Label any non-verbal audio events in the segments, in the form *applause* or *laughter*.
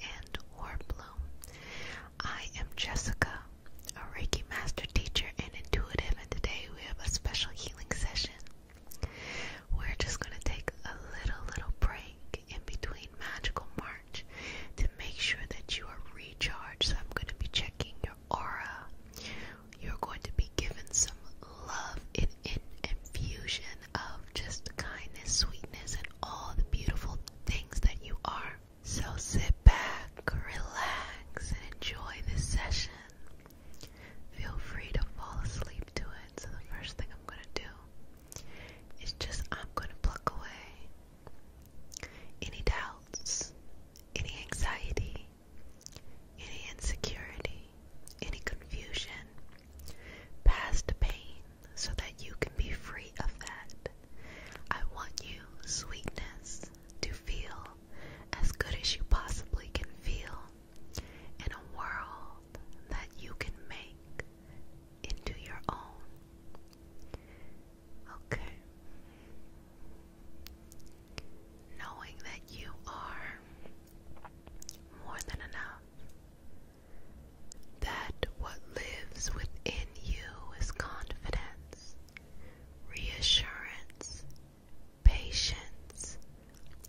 and Warbloom. I am Jessica, a Reiki Master Teacher and Intuitive, and today we have a special healing session. We're just going to take a little, little break in between Magical March to make sure that you are recharged. So I'm going to be checking your aura. You're going to be given some love in infusion of just kindness, sweetness, and all the beautiful things that you are. So sit back, relax, and enjoy this session. Feel free to fall asleep to it. So, the first thing I'm going to do is just I'm going to pluck away any doubts, any anxiety, any insecurity, any confusion, past pain, so that you can be free of that. I want you, sweetness, to feel as good as you possibly can feel in a world that you can make into your own. Okay. Knowing that you are more than enough that what lives within you is confidence, reassurance, patience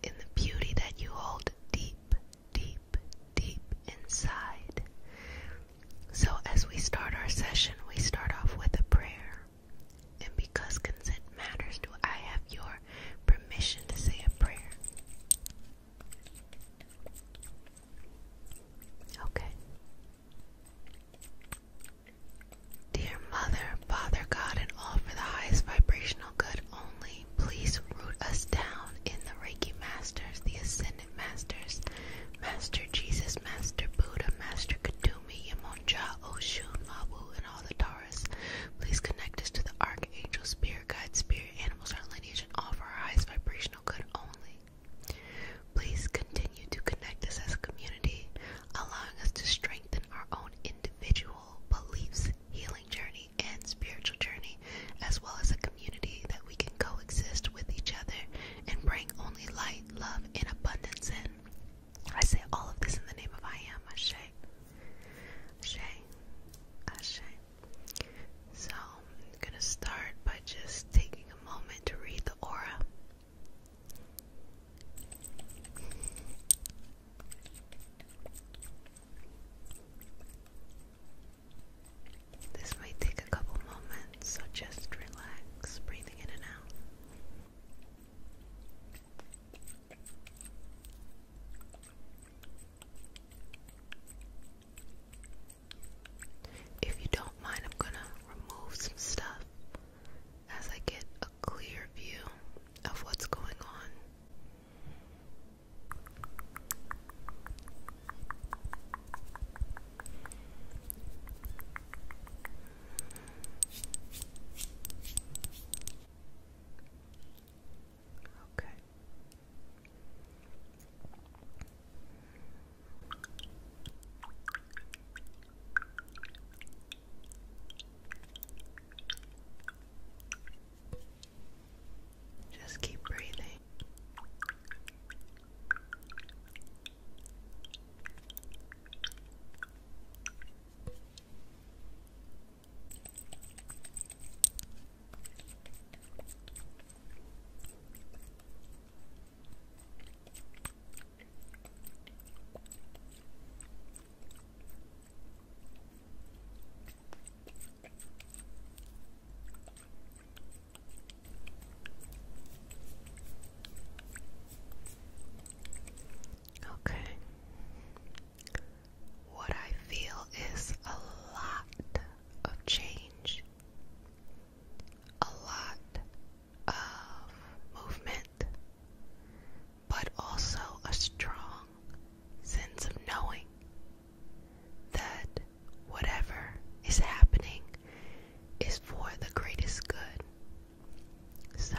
in the beauty that you hold deep, deep, deep inside. So, as we start our session, we start off with a prayer. And because consent matters, do I have your permission to say a prayer? Okay. Dear Mother, Father God, and all for the highest vibrational good only, please root us down in the Reiki Masters, the Ascendant Masters, Master Jesus, Master Buddha, Master Kadumi, Yamonja, Oshun, Mawu, and all the Taurus. Please connect us to the Archangel, Spirit Guide, Spirit Animals, our lineage, selection offer highest vibrational good only. Please continue to connect us as a community, allowing us to strengthen our own individual beliefs, healing journey, and spiritual journey, as well as a community that we can coexist with each other and bring only light, love, and abundance in. I say all of this in the name of I am Ashe. Ashe. Ashe. So, I'm gonna start by just taking a moment to read the aura. This may take a couple moments, so just relax, breathing in and out. If you don't mind, I'm gonna remove some stuff as I get a clear view of what's going on. Okay. Just keep breathing. Okay. What I feel is a lot of change a lot of movement, but also a strong sense of knowing that whatever is happening is for the greatest good. So,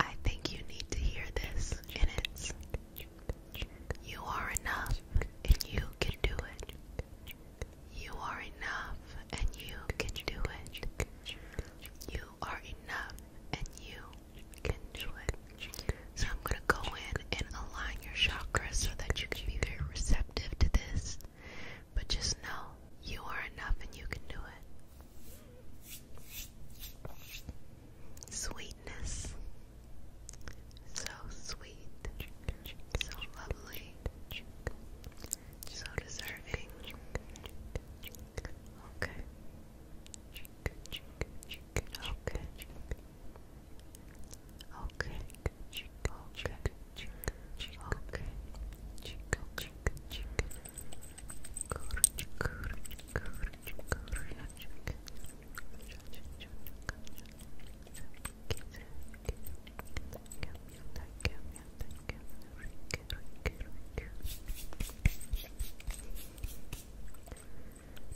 I think you need to hear this, and it's you are enough and you can do it. You are enough and you can do it. You are enough and you can do it. So I'm going to go in and align your chakras so that you can be very receptive to this. But just know you are enough and you can do it sweetness. So sweet, so lovely, so deserving. Okay. Okay. Okay. Okay. Okay.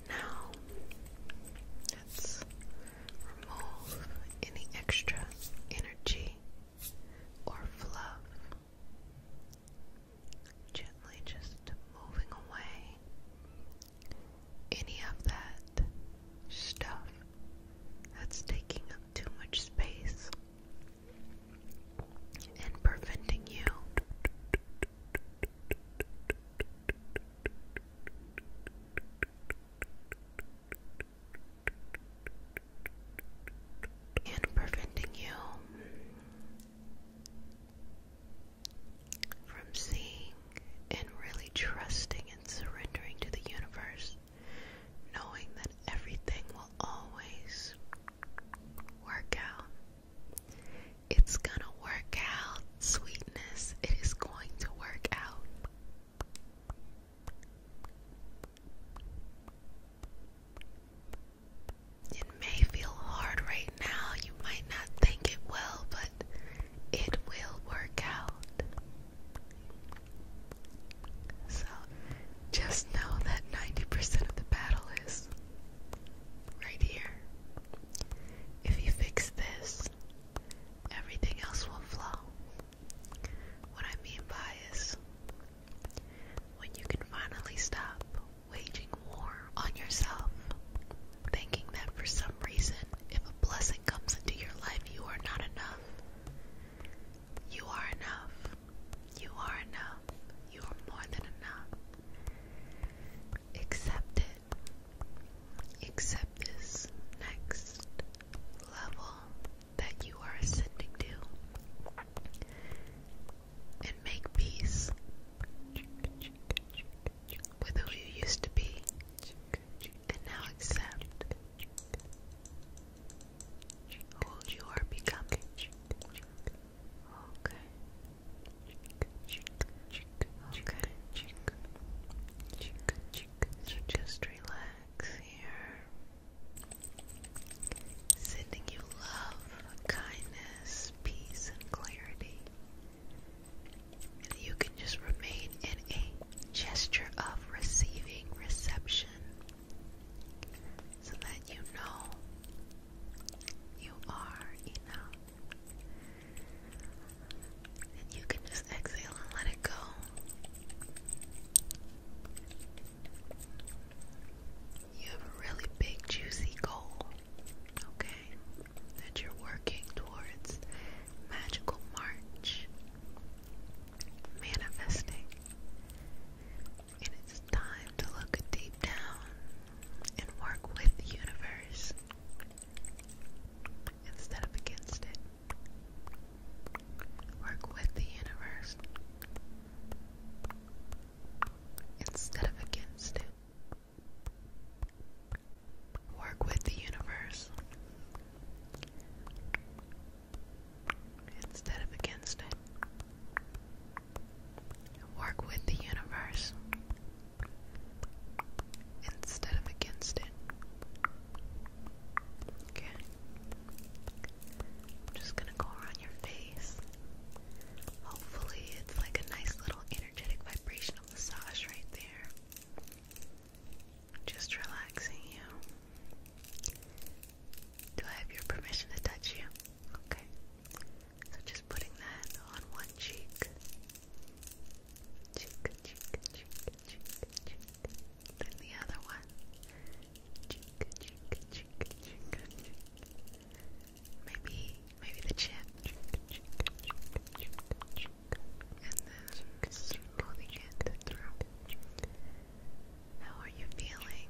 Now, let's remove any extra energy or fluff gently just moving away any of that stuff that's taking up too much space and preventing you and preventing you from seeing and really trusting and surrendering to the universe, knowing that everything will always work out. It's gonna work out, sweetness. It is going to work out. It may feel hard right now, you might not think it will, but it will work out. So just know that 90% of the battle is right here. If you fix this, everything else will flow. What I mean by is when you can finally stop waging war on yourself, thinking that for some reason, if a blessing comes into your life, you are not enough. You are enough. You are enough. You are more than enough. Accept it. Accept this next level that you are ascending to. And make peace with who you used to be and now accept who you are becoming. Okay. Okay. So just relax here. Sending you love, kindness, peace, and clarity. You can just remain in a gesture of receiving reception so that you know you are enough. And you can just exhale and let it go. You have a really big, juicy goal okay? That you're working towards magical March, manifesting. And it's time to look deep down and work with the universe instead of against it. Work with the universe instead of against it. Work with the universe instead of against it. Work with the universe instead of against it. Okay. I'm just gonna go around your face. Hopefully, it's like a nice little energetic vibrational massage right there. Just relaxing you. Do I have your permission to touch you? Okay. So just putting that on one cheek. Cheek, cheek, cheek, cheek, cheek. Then the other one. Cheek, cheek, cheek, cheek, cheek. Maybe, maybe the chin. And then smoothing it How are you feeling?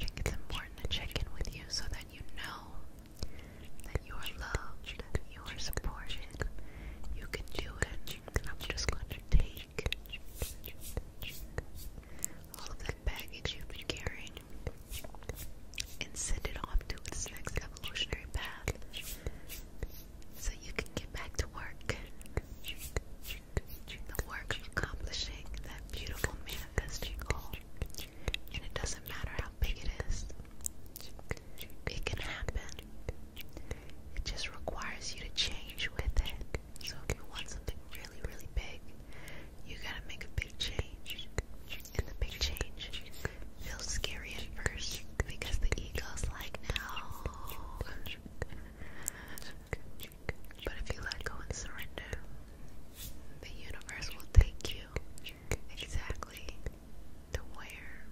it's important to check in with you so that you know that you are loved, you you can do it. I'm just going to take all that baggage you've been carrying and send it off to its next evolutionary path so you can get back to work. The work of accomplishing that beautiful manifesting And it doesn't matter how big it is, it can happen. It just requires you to change with it. So if you want something really, really big, you gotta make a big change. And the big change feels scary at first because the ego's like, no. But if you let go and surrender, the universe will take you exactly to where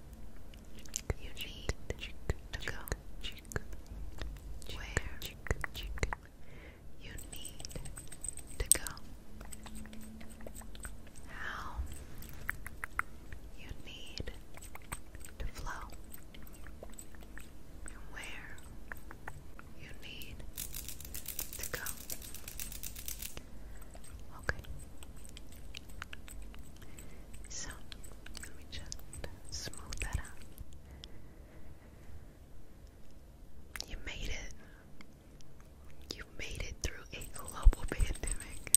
you need to go. Where you need to go how you need to flow where you need to go. Okay. So, let me just smooth that out. You made it. You made it through a global pandemic.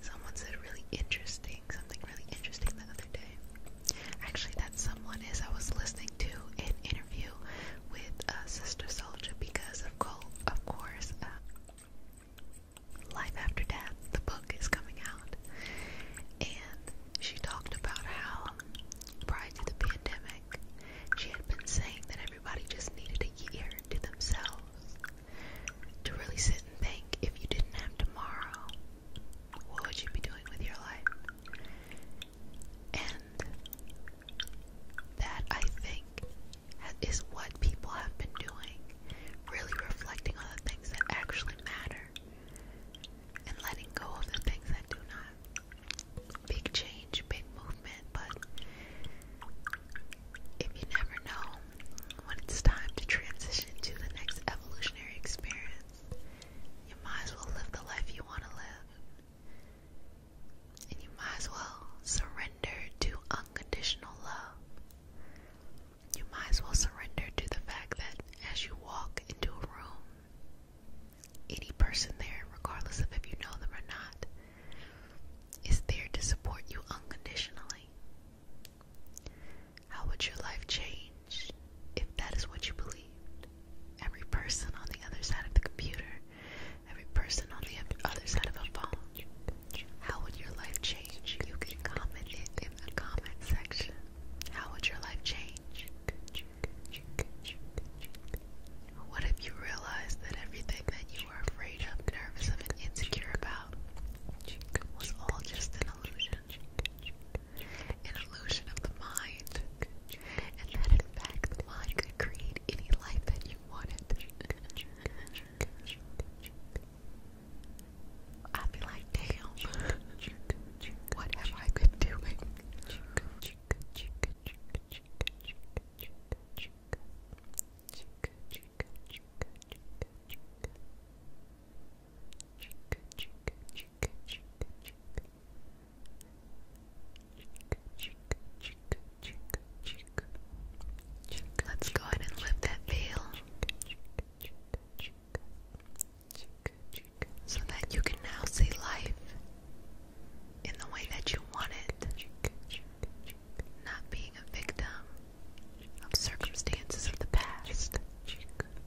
Someone said really interesting, something really interesting the other day. Actually, that someone is I was listening to an interview with uh, Sister Soldier because of of course, uh, Life After Death, the book is coming out, and she talked about how Prior to the pandemic, she had been saying that everybody just needed a year to themselves to really sit and think if you didn't have tomorrow, what would you be doing with your life? And that I think is what people have been doing, really reflecting on the things that actually matter and letting go of the things that do not big change, big movement, but if you never know when it's time to transition to the next evolutionary experience, you might as well live the life you want to live. And you might as well surrender to unconditional love. You might as well surrender to the fact that as you walk into a room, any person there, regardless of if you know them or not, is there to support you unconditionally. How would your life change if that is what you believed? Every person on the other side of the computer, every person on the other side of a phone, how would your life change? You can comment it in the comment section. How would your life change what if you realized that everything that you were afraid of, nervous of, and insecure about was all just an illusion? An illusion of the mind. And that in fact the mind could create any life that you wanted. I'd be like, damn, what have I been doing? chica, chica, chica, chica, chica, chica, chica, chica, chica, chica, chica. Chica, chica, chica, chica, chica. Let's go ahead and lift that veil so that you can now see life in the way that you want it, not being a victim of circumstances of the past,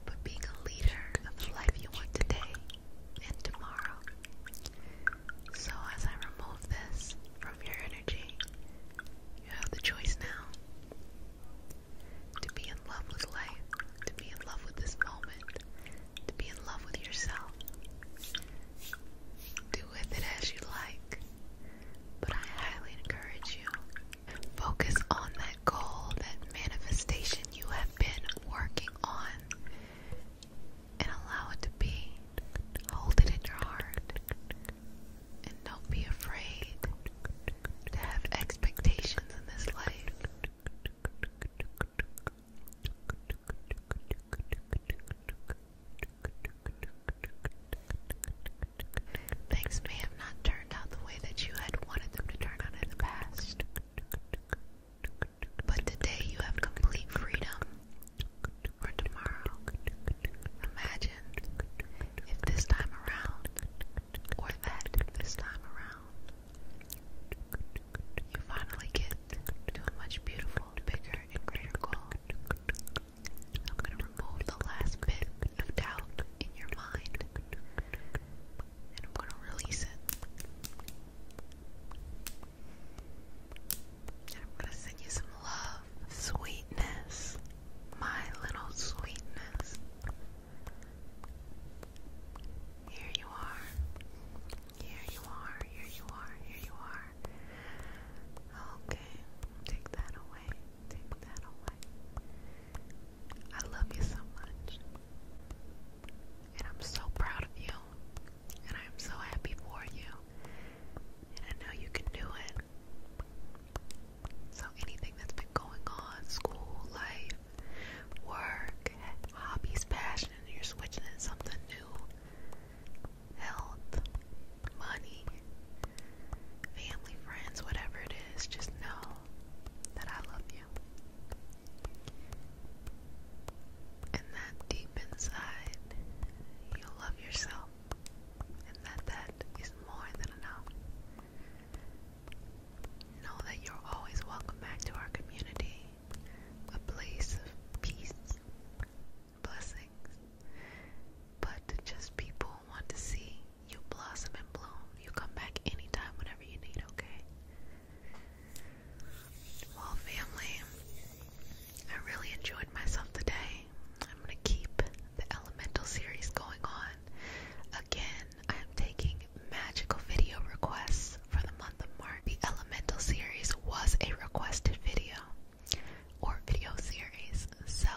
but being a leader of the life you want today and tomorrow. So, as I remove this from your energy, you have the choice now to be in love with life, to be in love with this moment, to be in love with yourself. Do with it as you like, but I highly encourage you. Focus on that goal, that manifestation you have been working on, and allow it to be. Hold it in your heart, and don't be afraid to have expectations in this life. Things may have not turned out the way that you had wanted them to turn out in the past. But today you have complete freedom. Or tomorrow. Imagine if this time around, or that this time around, you finally get to a much beautiful bigger and greater goal. I'm going to remove the last bit of doubt in your mind and I'm going to release it. And I'm going to send you some love, sweetness, my little sweetness. Here you are. Here you are, here you are, here you are. Okay, take that away, take that away. I love you so much. And I'm so proud of you. And I'm so happy for you. And I know you can do it. So, anything that's been going on, school, life, work, hobbies, passion, you're switching in something new health, money, family, friends, whatever it is, just know that I love you. And that deep inside, you love yourself, and that that is more than enough. Know that you're always welcome back to our community a place of peace, blessings, but just people want to see you blossom and bloom. You come back anytime, whenever you need, okay? Well, family, I really enjoyed myself today. I'm going to keep the Elemental series going on. Again, I am taking magical video requests for the month of March. The Elemental series was a requested video or video series, so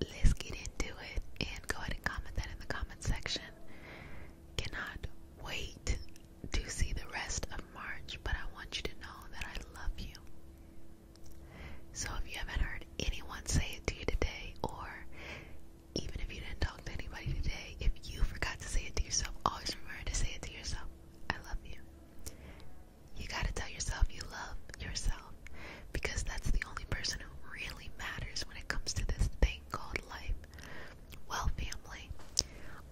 let's get into it and go ahead and comment that in the comment section. Cannot wait to see the rest of March, but I want you to know that I love you. So if you haven't heard anyone say it to you today, or even if you didn't talk to anybody today, if you forgot to say it to yourself, always remember to say it to yourself. I love you. You gotta tell yourself you love yourself because that's the only person who really matters when it comes to this thing called life. Well, family,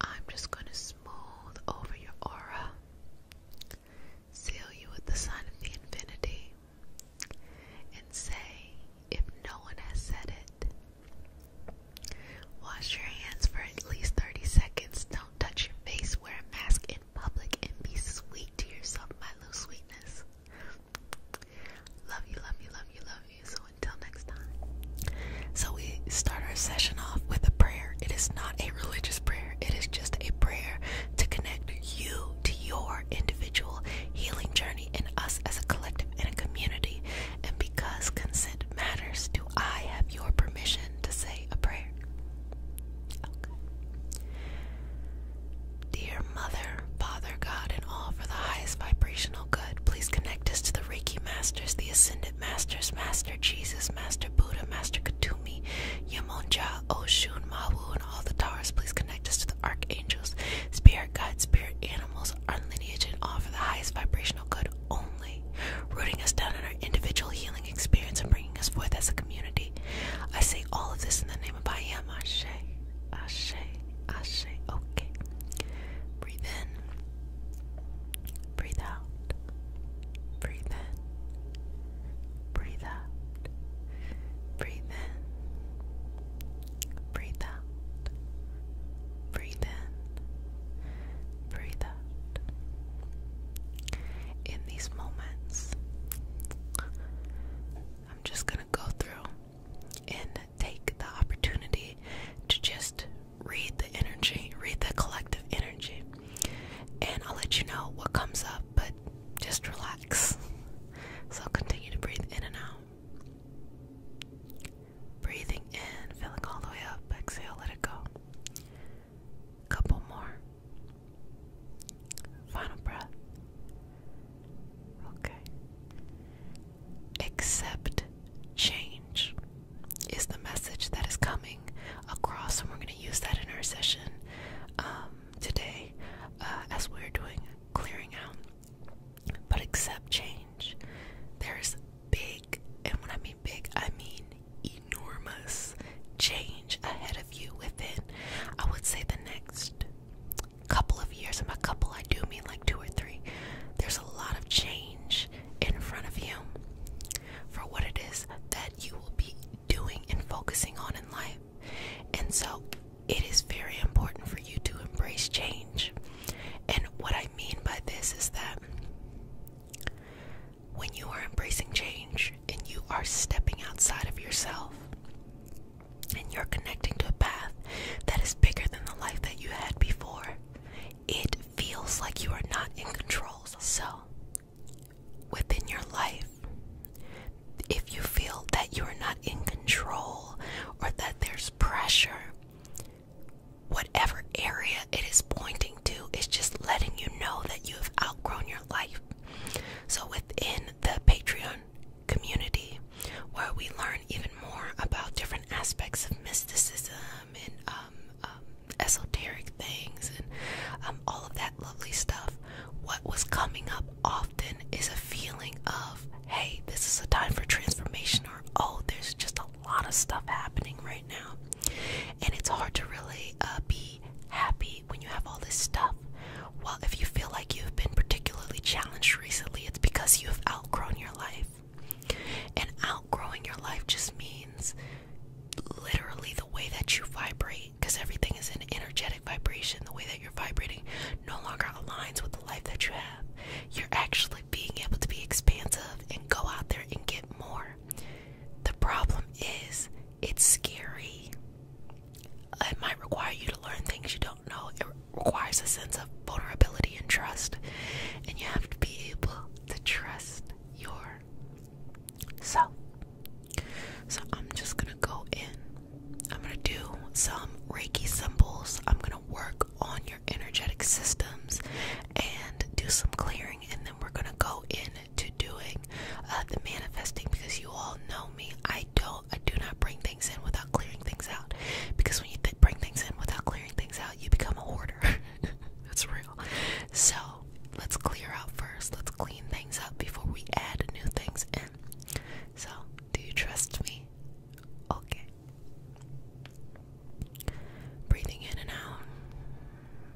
I'm just gonna smooth over your aura, seal you with the sign of the infinity, and say, if no one has said it, Wash your hands for at least 30 seconds. Don't touch your face, wear a mask in public, and be sweet to yourself, my little sweetness. Love you, love you, love you, love you. So until next time. So we start our session off with a prayer. It is not a religious prayer, it is just a prayer to connect you to your individual healing journey and us as a collective and a community. And because consent matters, do I have your permission to say a prayer? Dear Mother, Father, God, and all for the highest vibrational good, please connect us to the Reiki Masters, the Ascended Masters, Master Jesus, Master Buddha, Master Katumi, Yamonja, Oshun, Mahu, and all the towers. Please connect us to the Archangels, Spirit Guides, Spirit Animals, our lineage, and all for the highest vibrational good only, rooting us down in our individual healing experience and bringing us forth as a community. I say all of this in the name of I am Ashe, Ashe, Ashe. Okay. Breathe in, breathe out, breathe in, breathe out, breathe in, breathe out, breathe in, breathe out. In these moments, I'm just going to go through and take the opportunity to just read the energy, read the collective energy, and I'll let you know what comes up, but just relax. So continue to breathe in and out. Breathing in, filling all the way up, exhale, let it go. Couple more. Final breath. Okay. Accept change is the message that is coming across, and we're going to use that in our session um, today uh, as we're doing clearing out. But accept change. There's big, and when I mean big, I mean enormous change ahead of you within, I would say, the next couple of years. And by couple, I do mean like two or three. There's a lot of change in front of you for what it is that you will be doing and focusing on in life. And so it is very important for you to embrace change. And what I mean by this is that when you are embracing change and you are stepping outside of yourself and you're connecting to a path that is bigger than the life that you had before, it feels like you are not in control. So, within your life, if you feel that you are not in control or that there's pressure, whatever area it is pointing to is just letting you know that you have outgrown your life. So, within the Patreon community, where we learn even more about different aspects of mysticism and um, um, esoteric things and um, all of that lovely stuff, what was coming up often is a feeling of, hey, this is a time for transformation, or oh, there's just a lot of stuff happening right now. And it's hard to really uh, be happy when you have all this stuff. Well, if you feel like you've been particularly challenged recently, it's because you've outgrown your life. And outgrowing your life just means literally the way that you vibrate, because everything is an energetic vibration. The way that you're vibrating no longer aligns with the life that you have. You're actually being able to be expansive and go out there and get more. The problem is, it's scary. It might require you to learn things you don't know. It requires a sense of vulnerability and trust, and you have to be able to trust your self. So I'm just gonna go in. I'm gonna do some Reiki symbols. I'm gonna work on your energetic systems and do some clearing, and then we're gonna go in to doing uh, the manifesting because you all know me. I don't, I do not bring things in without clearing things out. Because when you bring things in without clearing things out, you become a hoarder. *laughs* That's real. So let's clear out first. Let's clean things up before we add new things in. So, do you trust me? Okay. Breathing in and out.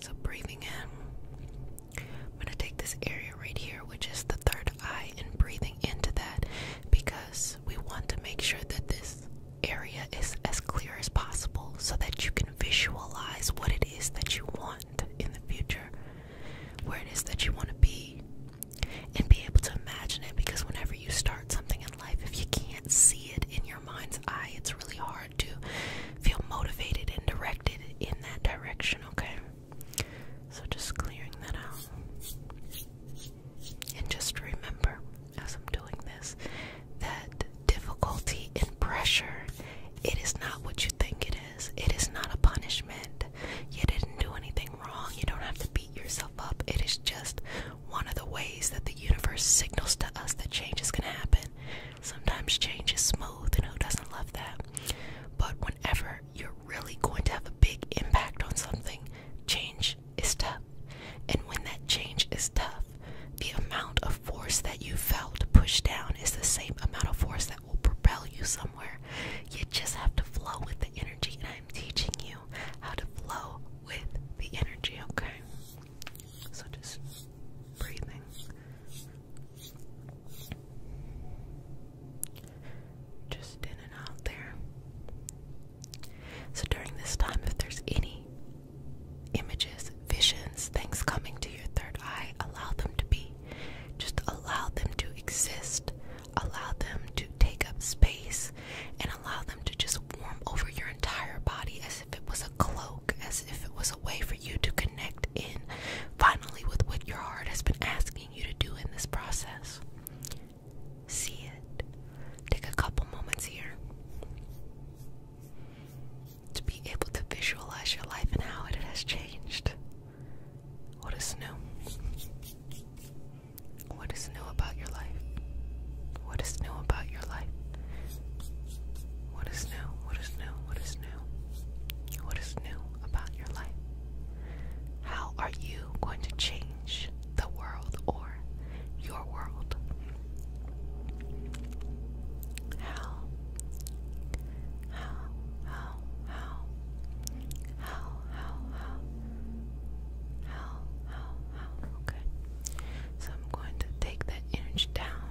So, breathing in, I'm going to take this area right here, which is the third eye, and breathing into that because we want to make sure that this area is as clear as possible so that you can visualize what it is that you want in the future, where it is that you want to be, and be able to imagine it because whenever you start something in life, if you can't see it in your mind's eye, it's really hard to feel motivated and directed in that direction, okay? So just clearing that out. And just remember, as I'm doing this, that difficulty and pressure, it is not what you think it is. It is not a punishment. You didn't do anything wrong. You don't have to beat yourself up. It is just one of the ways that the universe signals to us that change is going to happen. Sometimes change is smooth, and who doesn't love that? But whenever you're really going to have a big impact on something, change is tough. And when that change is tough, the amount of force that you felt push down is the same amount of force that will propel you somewhere. You just have to flow with the energy, and I'm teaching you how to flow with the energy, okay? So just breathing. Just in and out there. So during this time, if there's any images, visions, things coming to your third eye, allow them to be. Just allow them to exist. Allow them to take up space and allow them to just warm over your entire body as if it was a cloak, as if it was a way for you to connect in finally with what your heart has been asking you to do in this process. See it. Take a couple moments here to be able to visualize your life and how it has changed. What is new? What is new about your life? What is new about your life? What is new? What is new? What is new? What is new about your life? How are you going to change the world or your world? How? How? How? How? How? How? How? How? How? Okay. So I'm going to take that energy down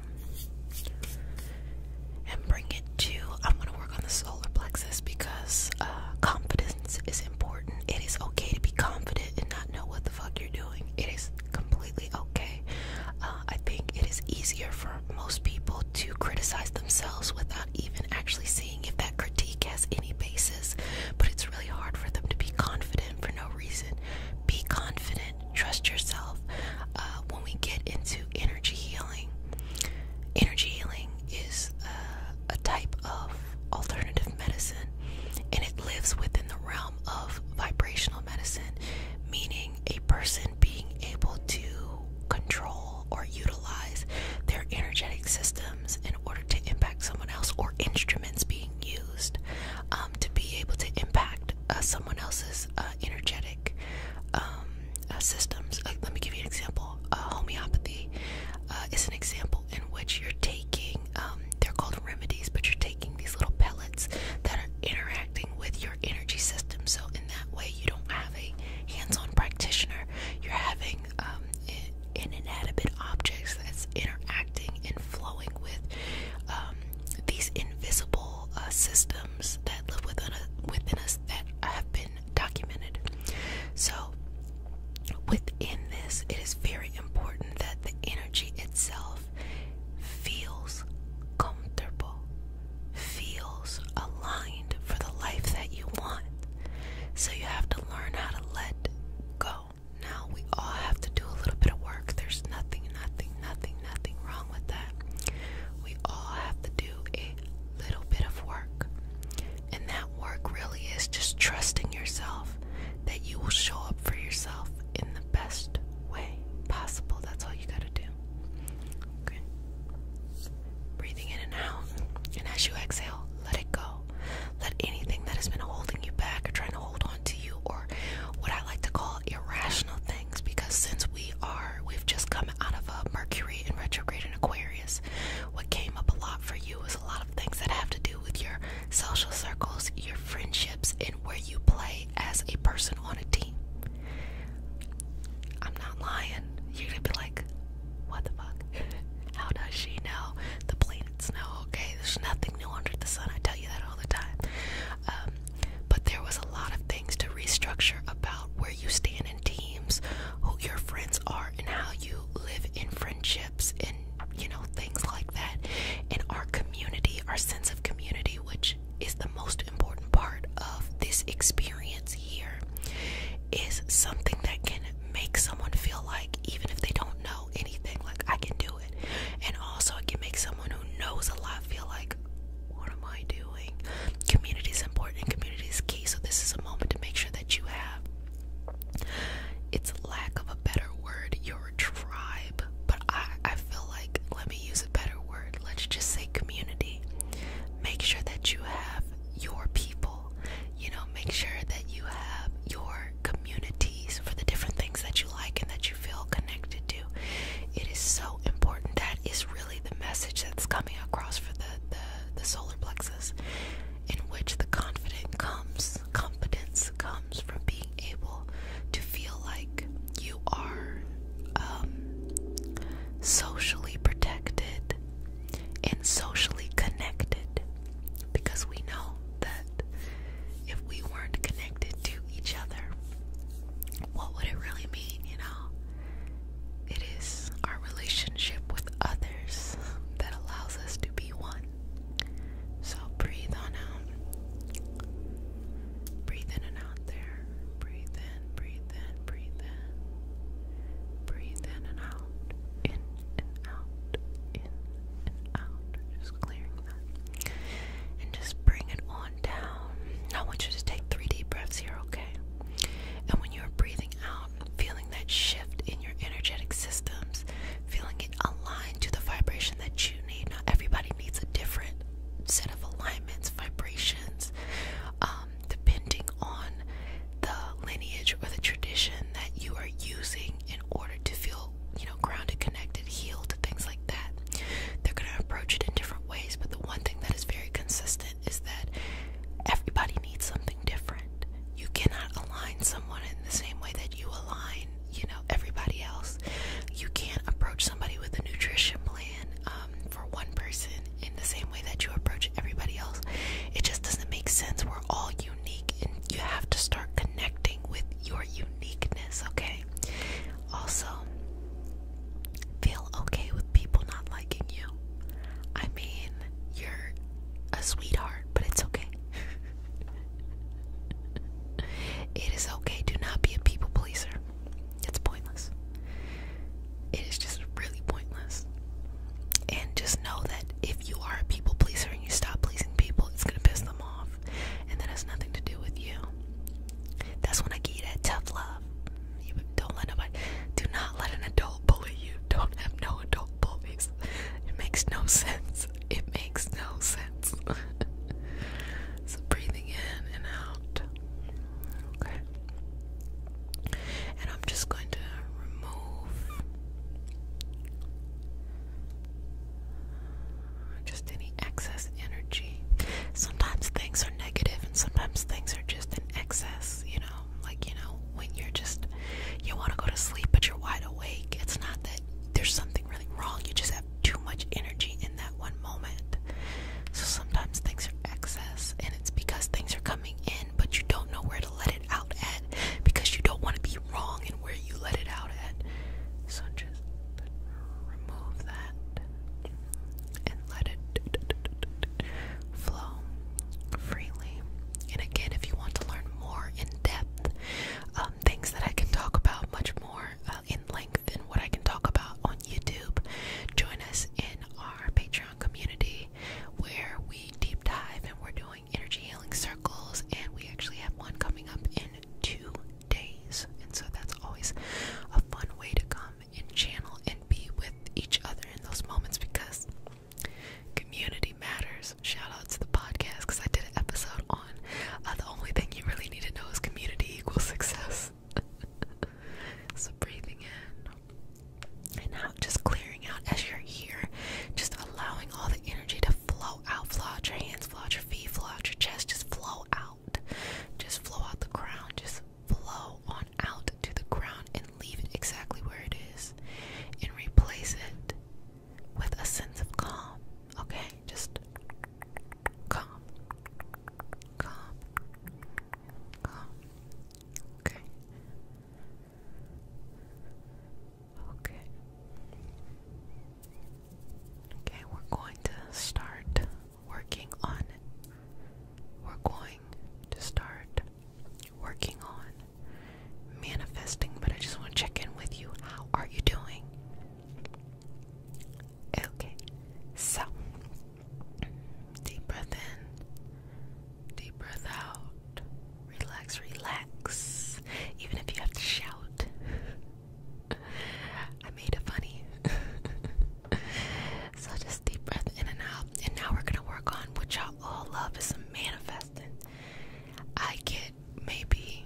and bring it to. I'm going to work on the solar plexus because uh, confidence is important. It is okay to be confident and not know what the fuck you're doing. It is completely okay. Uh, I think it is easier for most people to criticize themselves without even actually seeing if that critique has any basis, but it's really hard for them to be confident for no reason. Be confident trust yourself uh, when we get into energy healing energy healing is uh, a type of alternative medicine and it lives within the realm of vibrational medicine meaning a person being able to control or utilize their energetic systems in order to impact someone else or instruments being used um, to be able to impact uh, someone else's uh, energetic um, uh, systems. let me give you an example. homeopathy is an example in which you're taking, um, they're called remedies, but you're taking these little pellets that are interacting with your energy system. So, in that way, you don't have a hands on practitioner, you're having um, inanimate objects that's interacting and flowing with these invisible uh, systems that live within us, within us that have been documented. So, within this, it is very important that the energy itself feels comfortable, feels aligned for the life that you want. So, you have to learn how to let go. Now, we all have to do a little bit of work. There's nothing, nothing, nothing, nothing wrong with that. We all have to do a little bit of work. And that work really is just trusting yourself that you will show up for yourself in the best way possible. That's all you got to do. Okay. Breathing in and out. And as you exhale, let it go. Let anything that has been holding you back or trying to hold on to you or what I like to call irrational things because since we are, we've just come out of a Mercury in retrograde in Aquarius, what came up a lot for you is a lot of things that have to do with your social circles, your friendships, and where you play as a person on a team. I'm not lying. You're gonna be like, what the fuck? *laughs* How does she know the planets know? Okay, there's nothing new under the sun. I tell you that all the time. Um, but there was a lot of things to restructure about where you stand in teams, who your friends are, and how you live in friendships and, you know, things like that. And our community, our sense of community, which is the most important part of this experience here, is something that can make someone feel like, even if they don't know anything, like I can do it. And also, it can make someone who knows a lot feel like, what am I doing? Community is important, community is key, so this is a moment to make sure that you have it's lack of a better word, your tribe. But I, I feel like let me use a better word. Let's just say community. Make sure that you have your people. You know, make sure that you have your communities for the different things that you like and that you feel connected to. It is so important. That is really the message that's coming across for the the, solar plexus, in which the confidence comes competence comes from being able to feel like you are um, socially protected and socially connected because we know that if we weren't connected to each other, what would it really mean, you know? It is our relationship with others that allows us to be one. So breathe on out. Breathe in and out there. Breathe in, breathe in, breathe in. Breathe in and out. In and out. In and out. Just clearing that and just bring it on down. I want you to take three deep breaths here, okay? And when you're breathing out, feeling that shift in your energetic systems, feeling it aligned to the vibration that you need. Not everybody needs a different set of alignments, vibrations, um, depending on the lineage or the tradition that you are using in order to feel, you know, grounded, connected, healed, things like that. They're going to approach it in different ways, but the one thing that is very consistent is that everybody needs something different. You cannot align someone in the same way that you align, you know, everybody else. You can't approach somebody with a nutrition plan um, for one person in the same way that you approach everybody else. It just doesn't make sense. We're all unique, and you have to start connecting with your uniqueness, okay? Also, feel okay with people not liking you. I mean, you're a sweetheart, but it's okay. *laughs* it is okay to not be a people pleaser. It's pointless. It is just really pointless. And just know that if you are a people pleaser and you stop pleasing people, it's going to piss them off. And that has nothing to do with you. That's when I give you that tough love. You don't let nobody, do not let an adult bully you. Don't have no adult bullies. It makes no sense. It makes no sense. *laughs* so breathing in and out. Okay. And I'm just going to remove just any excess energy. Sometimes things things are negative and sometimes things are just in excess, you know, like, you know, when you're just, you want to go to sleep, but you're wide awake. It's not that there's something really wrong, you just have too much energy in that one moment. So sometimes things are excess, and it's because things are coming in, but you don't know where to let it out at because you don't want to be wrong in where you let it out at. So just remove that and let it flow freely. And again, if you want to learn more in depth, um, things that I can talk about much more uh, in length than what I can talk about on YouTube, join us in our Patreon community where we deep dive and we're doing energy healing circles, and we actually have one coming up in two days. And so that's always a fun way to come and channel and be with each other in those moments because community matters. Shout out to the podcast because I did an episode on uh, the only thing you really need to know is community equals success. *laughs* so breathing in and out, just clearing out as you're here, just allowing all the energy to flow out. Flow out your hands, flow out your feet, flow out your chest, just flow out. Just flow out the crown. Just flow on out to the ground and leave it exactly where it is. And replace it with a sense of calm. Okay? Just calm. Calm. Calm. Okay. Okay. Okay, we're going to start working on. We're going to start working on manifesting, but I just want to check in with you. How are you doing? Okay, so deep breath in, deep breath out, relax, relax, even if you have to shout. *laughs* I made it funny. *laughs* so just deep breath in and out. And now we're gonna work on what y'all all love is manifesting. I get maybe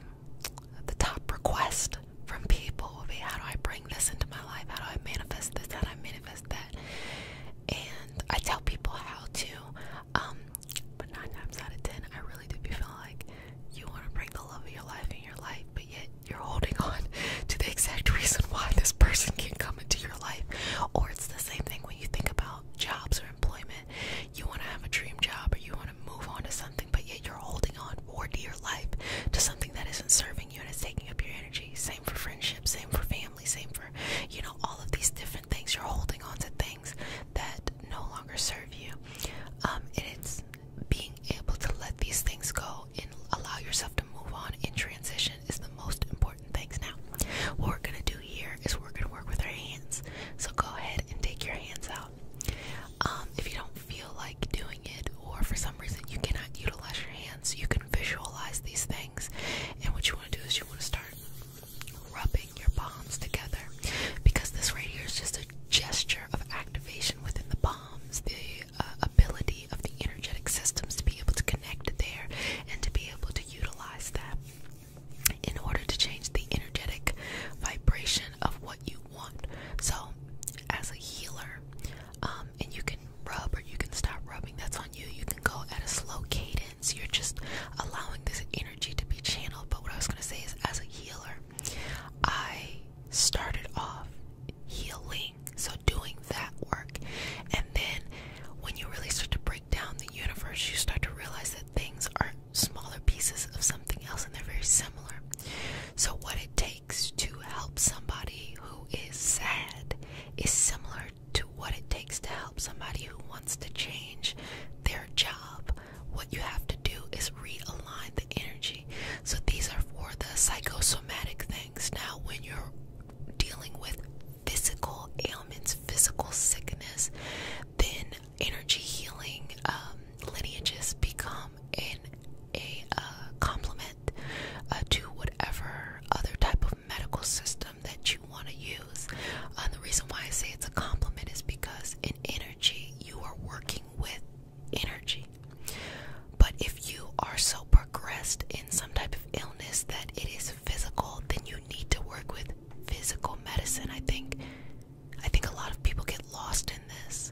the top request from people will be how do I bring this into my life? How do I manifest this? How do I manifest that? And I tell people how to, um, but nine times out of ten, I really do be like you want to bring the love of your life in your life, but yet you're holding on to the exact reason why this person can not come into your life. Or it's the same thing when you think about jobs or employment. You want to have a dream job or you want to move on to something, but yet you're holding on more to your life to something that isn't serving you and it's taking up your energy. Same for friendships, same for family, same for, you know, all of these different things. You're holding on to things that no longer serve you. Um, and it's being able to let these things go and allow yourself to move on and transition is the most important things. Now, what we're gonna do here is we're gonna work with our hands. So go ahead and take your hands out. Um, if you don't feel like doing it, or for some reason you cannot utilize your hands, you can visualize these things. And what you want to do is you want to start rubbing your palms together because this right here is just a gesture of activation within the palms. Uh, ability of the energetic systems to be able to connect there and to be able to utilize that in order to change the energetic vibration of what you want. So, as a healer, um, and you can rub or you can stop rubbing, that's on you. You can go at a slow cadence, you're just allowing this energy to be channeled. But what I was going to say is, as a healer, I started off healing. So, doing that work. And then, when you really start to break down the universe, you start to realize that things are smaller pieces of something else and they're very similar. So, what it takes to help somebody who is sad is similar to what it takes to help somebody who wants to change their job. What you have to do is realign the energy so these are for the psychosomatic things. Now, when you're dealing with physical ailments, physical sickness, then energy healing um, lineages become an, a uh, complement uh, to whatever other type of medical system that you want to use. Uh, the reason why I say it's a complement is because in energy, you are working with energy. But if you are so progressed in some type of illness that it is physical, then you need to work with physical medicine. I think I think a lot of people get lost in this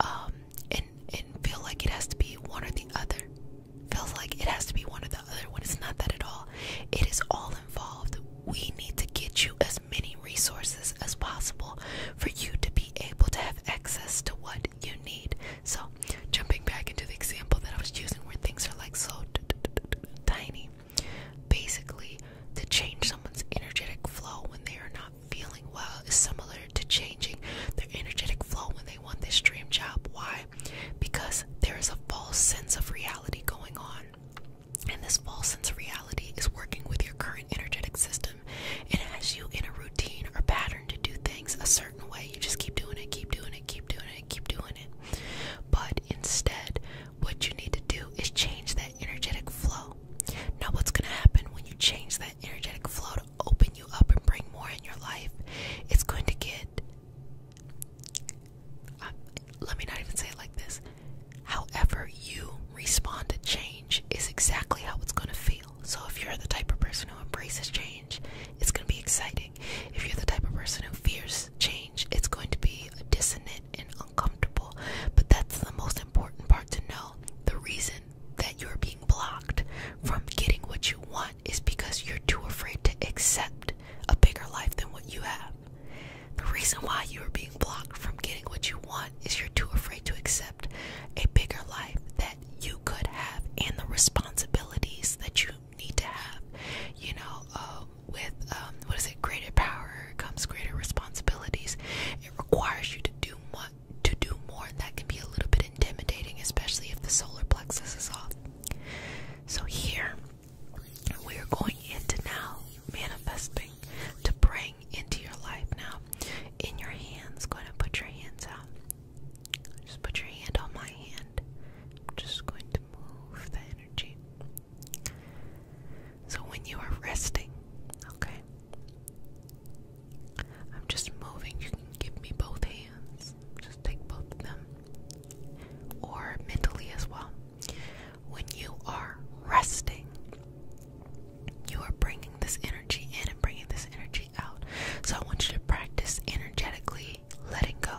um, and and feel like it has to be one or the other. Feels like it has to be one or the other when it's not that at all. It is all involved. We need to get you as many resources as possible for you to be able to have access to what you need. So, jumping back into the example that I was using where things are like so tiny, basically, to change someone's energetic flow when they are not feeling well is similar to changing their energetic flow when they want this dream job. Why? Because there is a false sense of reality going on. And this false sense of reality is working with your current energetic system. and has you in a routine or pattern to do things a certain way. You just keep doing it, keep doing it, keep doing it, keep doing it. But instead, what you need to do is change that energetic flow. Now, what's going to happen when you change that energetic flow to open you up and bring more in your life? It's going to get. Um, let me not even say it like this. However, you respond to change is exactly how it's going to feel. So if you're the type of person who embraces change, it's going to be exciting. If you're the type of person who fears change, it's going to be dissonant and uncomfortable. But that's the most important part to know. The reason that you're being blocked from getting what you want is because you're too afraid to accept a bigger life than what you have. The reason why you are being blocked from getting what you want is you're too afraid to accept a bigger life that you could have and the responsibilities that you need to have. You know, um, with um, what is it? Greater power comes greater responsibilities. It requires you to do more. To do more, and that can be a little bit intimidating, especially if the solar plexus is off. So here we are going into now manifesting to bring into your life now. In your hands, go ahead and put your hands out. Just put your hand on my hand. I'm just going to move the energy. So when you are resting, okay, I'm just moving. You can give me both hands. Just take both of them. Or mentally as well. When you are resting, you are bringing this energy in and bringing this energy so I want you to practice energetically letting go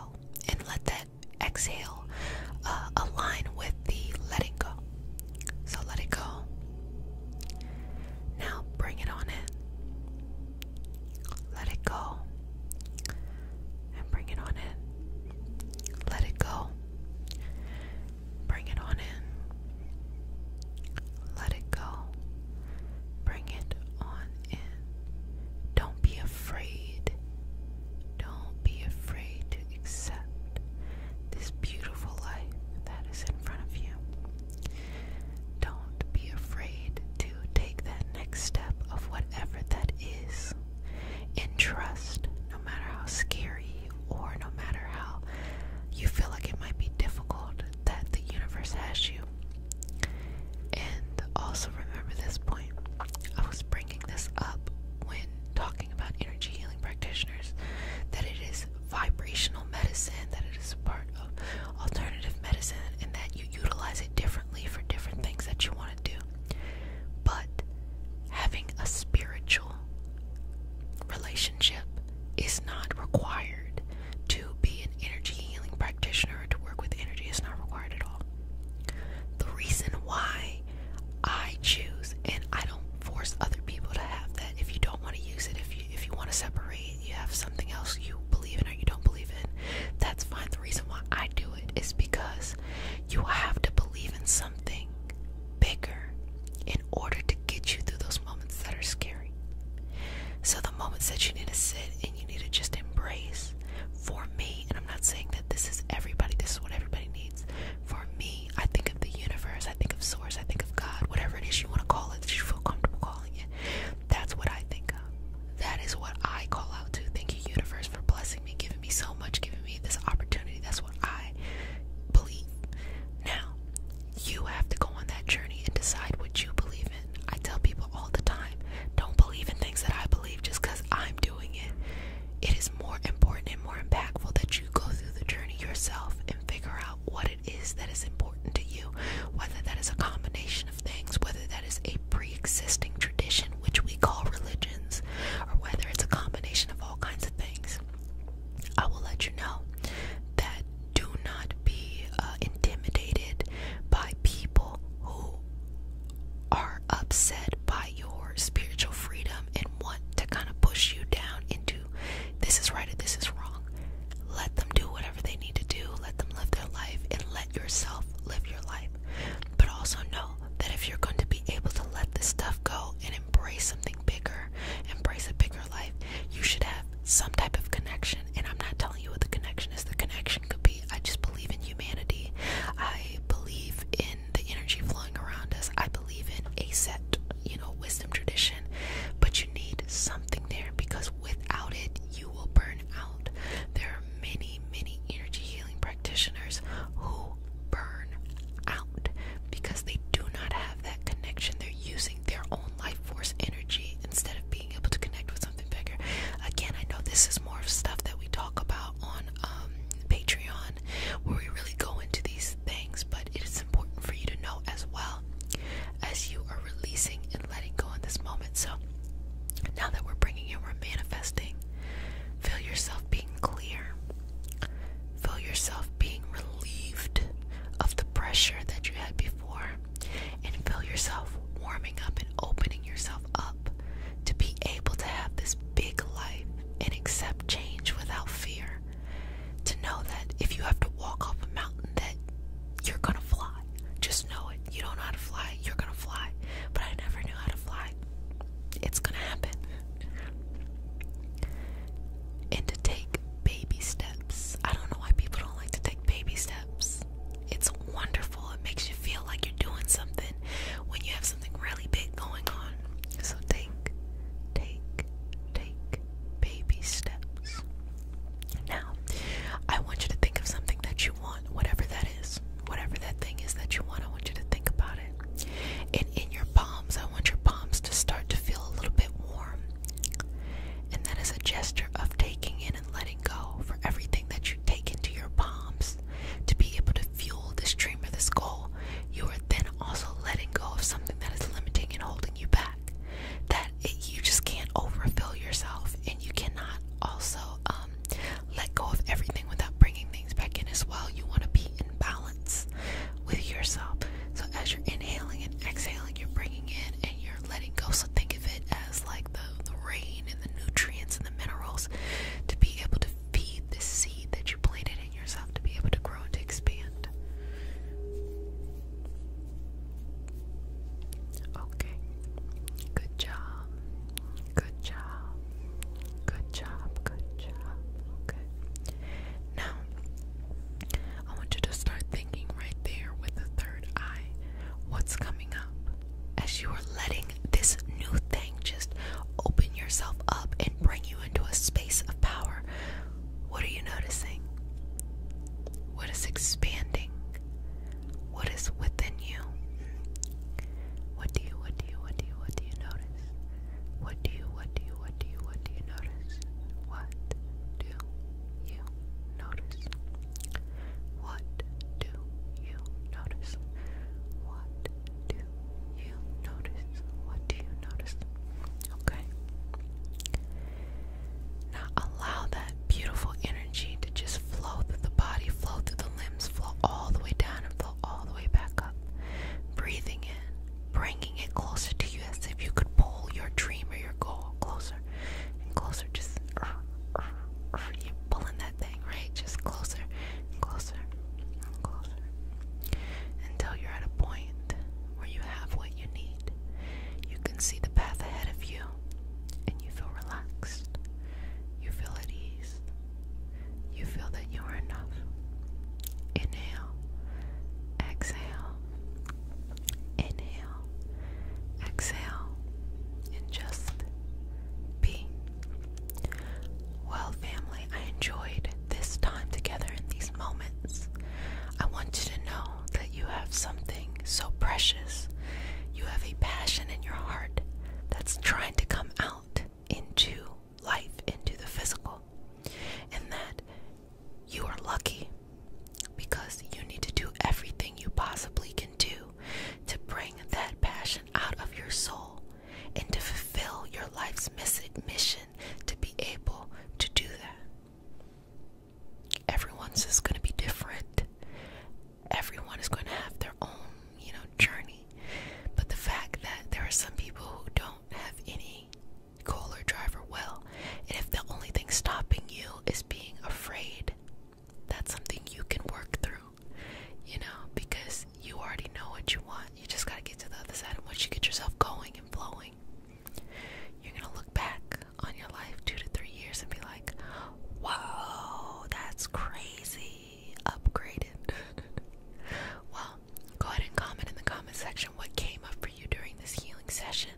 and let that exhale uh, align with the letting go. So let it go. Now bring it on in. Let it go. And bring it on in. Let it go. Bring it on in. Let it go. Bring it on and don't be afraid. Don't be afraid to accept this beautiful life that is in front of you. Don't be afraid to take that next step of whatever that is. And trust, no matter how scary or no matter how you feel like it might be difficult, that the universe has you. And also remember this point. I was bringing this up when talking about energy healing practitioners that it is vibrational medicine, that it is part of alternative medicine, and that you utilize it differently for different things that you want to do. But having a spiritual relationship is not required. To be an energy healing practitioner to work with energy is not required at all. The reason why I choose and I don't force other people to have that. If you don't want to use it, if you if you want to separate, you have something else you believe in or you don't believe in, that's fine. The reason why I do it is because you have to believe in something bigger in order to get you through those moments that are scary. So the moments that you need to sit and you need to just embrace for me, and I'm not saying that this is everybody, this is what everybody needs. For me, I think of the universe, I think of source, I think of God, whatever it is you want to call it that you feel comfortable calling it. That's what I think of. That is what I call out to. Thank you, universe, for blessing me, giving me so much, giving me this opportunity. That's what I believe. Now, you have to go on that journey and decide what you believe I tell people all the time, don't believe in things that I believe just because I'm doing it. It is more important and more impactful that you go through the journey yourself and figure out what it is that is important to you, whether that is a combination of things, whether that is a pre existing tradition, which we call religions, or whether it's a combination of all kinds of things. I will let you know that do not be uh, intimidated by people who are upset by your spiritual freedom and want to kind of push you down into this is right or this is wrong. Let them do whatever they need to do, let them live their life, and let yourself live your life. But also know that if you're going to be able to let this stuff go and embrace something bigger, embrace a bigger life, you should have some type of connection, and I'm not telling you what the connection is. The connection could be I just believe in humanity, I believe in the energy flowing around us, I believe in a set, you know, wisdom tradition. But you need something there because without it, you will burn out. There are many, many energy healing practitioners who burn out because they do not have that connection. They're using their own life force energy instead of being able to connect with something bigger. Again, I know this is more of stuff that we talk about on um, Patreon where we really go into these things, but it is important for you to know as well as you are releasing and letting go in this moment. So now that we're bringing in, we're manifesting. Feel yourself being clear. Feel yourself being relieved of the pressure that you had before and feel yourself warming up and opening yourself up to be able to have this big life and accept change without fear. To know that if you have to walk off a mountain, that you're gonna fly. Just know it. You don't know how to fly, you're gonna fly. But I never knew how to fly. It's gonna happen. And to take baby steps. I don't know why people don't like to take baby steps. It's wonderful. It makes you feel like you're doing something when you have something really big going on. So take, take, take baby steps. Now, I want you to think of something that you want, whatever that is. Whatever that thing is that you want, I want you to think about it. And in your palms, I want your palms to start to feel a little bit warm. And that is a gesture of taking in and letting go for everything that you take into your palms to be able to fuel this dream or this goal, you are then also letting go of something that is limiting and holding you back. That you just can't overfill yourself, and you cannot also um, let go of everything without bringing things back in as well. You want to be in balance with yourself. So as you're inhaling and exhaling, you're bringing in and you're letting go. So think of it as like the, the rain and the nutrients and the minerals to be able to feed this seed that you planted in yourself to be able to grow and to expand. Okay. Good job. Good job. Good job. Good job. Okay. Now, I want you to start thinking right there with the third eye. What's coming up? as you are letting this new thing just open yourself up and bring you into a space of power, what are you noticing? What is expanding? What is within you? What do you, what do you, what do you, what do you notice? What do you, what do you, what do you, what do you notice? What do you notice? What do you notice? What do you notice? What do you notice? Okay. Now allow that beautiful energy to just flow through the body, flow through the limbs, flow all the way down, and flow all the way back up. Breathing in, bringing it closer to you as if you could pull your dream or your goal closer closer and closer. Just you pulling that thing, right? Just closer and closer and closer until you're at a point where you have what you need. You can see the path ahead of you and you feel relaxed. You feel at ease. You feel that you are enough. Inhale, exhale, inhale, exhale, and just be. Well, family, I enjoyed this time together in these moments. I want you to know that you have something so precious. You have a passion in your heart that's trying to come out into life, into the physical, and that you are lucky because you need to do everything you possibly can do to bring that passion out of your soul and to fulfill your life's mission to be able to do that. Everyone's is going to be different. Everyone is going to have their own, you know, journey. But the fact that there are some people who don't have any goal driver, drive will, and if the only thing stopping you is being afraid that's something you can work through, you know, because you already know what you want. You just got to get to the other side. And once you get yourself going and flowing, you're going to look back on your life two to three years and be like, whoa, that's crazy. Upgraded. *laughs* well, go ahead and comment in the comment section what came up for you during this healing session.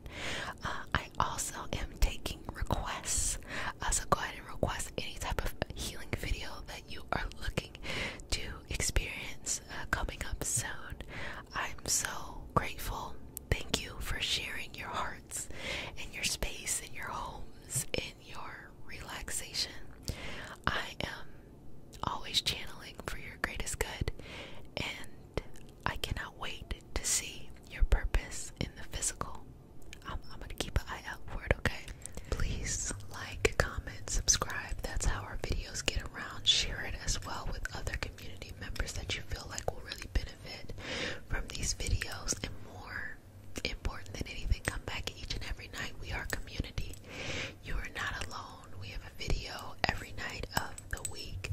Uh, I also am taking requests. Uh, so go ahead and request any type of healing video that you are looking to experience uh, coming up soon. I'm so grateful. Thank you for sharing your hearts and your space and your homes and your relaxation. I am always channeling for your greatest good, and I cannot wait to see your purpose in the physical. I'm, gonna keep an eye out for it, okay? Please like, comment, subscribe. That's how our videos get around. Share it as well with other community members that you feel like will really benefit from these videos. And more important than anything, come back each and every night. We are community. You are not alone. We have a video every night of the week.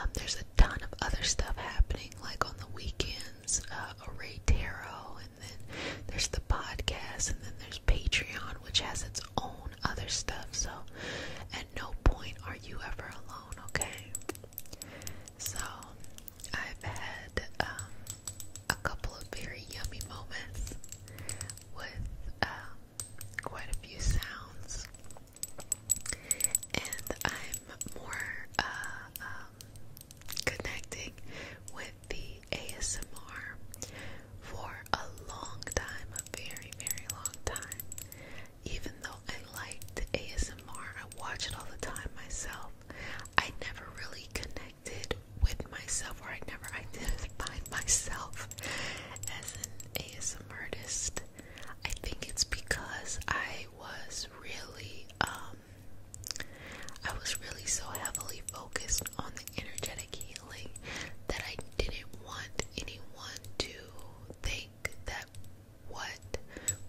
Um, there's a ton of other stuff happening, like on the weekend ones, uh, Tarot, and then there's the podcast, and then there's Patreon, which has its own other stuff. So at no point are you ever alone, okay? So I've had um, a couple of very yummy moments with um, quite a few sounds, and I'm more. Uh, um, connecting with the ASMR for a long time, a very, very long time. Even though I liked ASMR, I watch it all the time myself. I never really connected with myself, or I never identified *laughs* myself as an ASM artist. I think it's because I was really um, I was really so heavily focused on the energetic healing that I didn't want anyone to think that what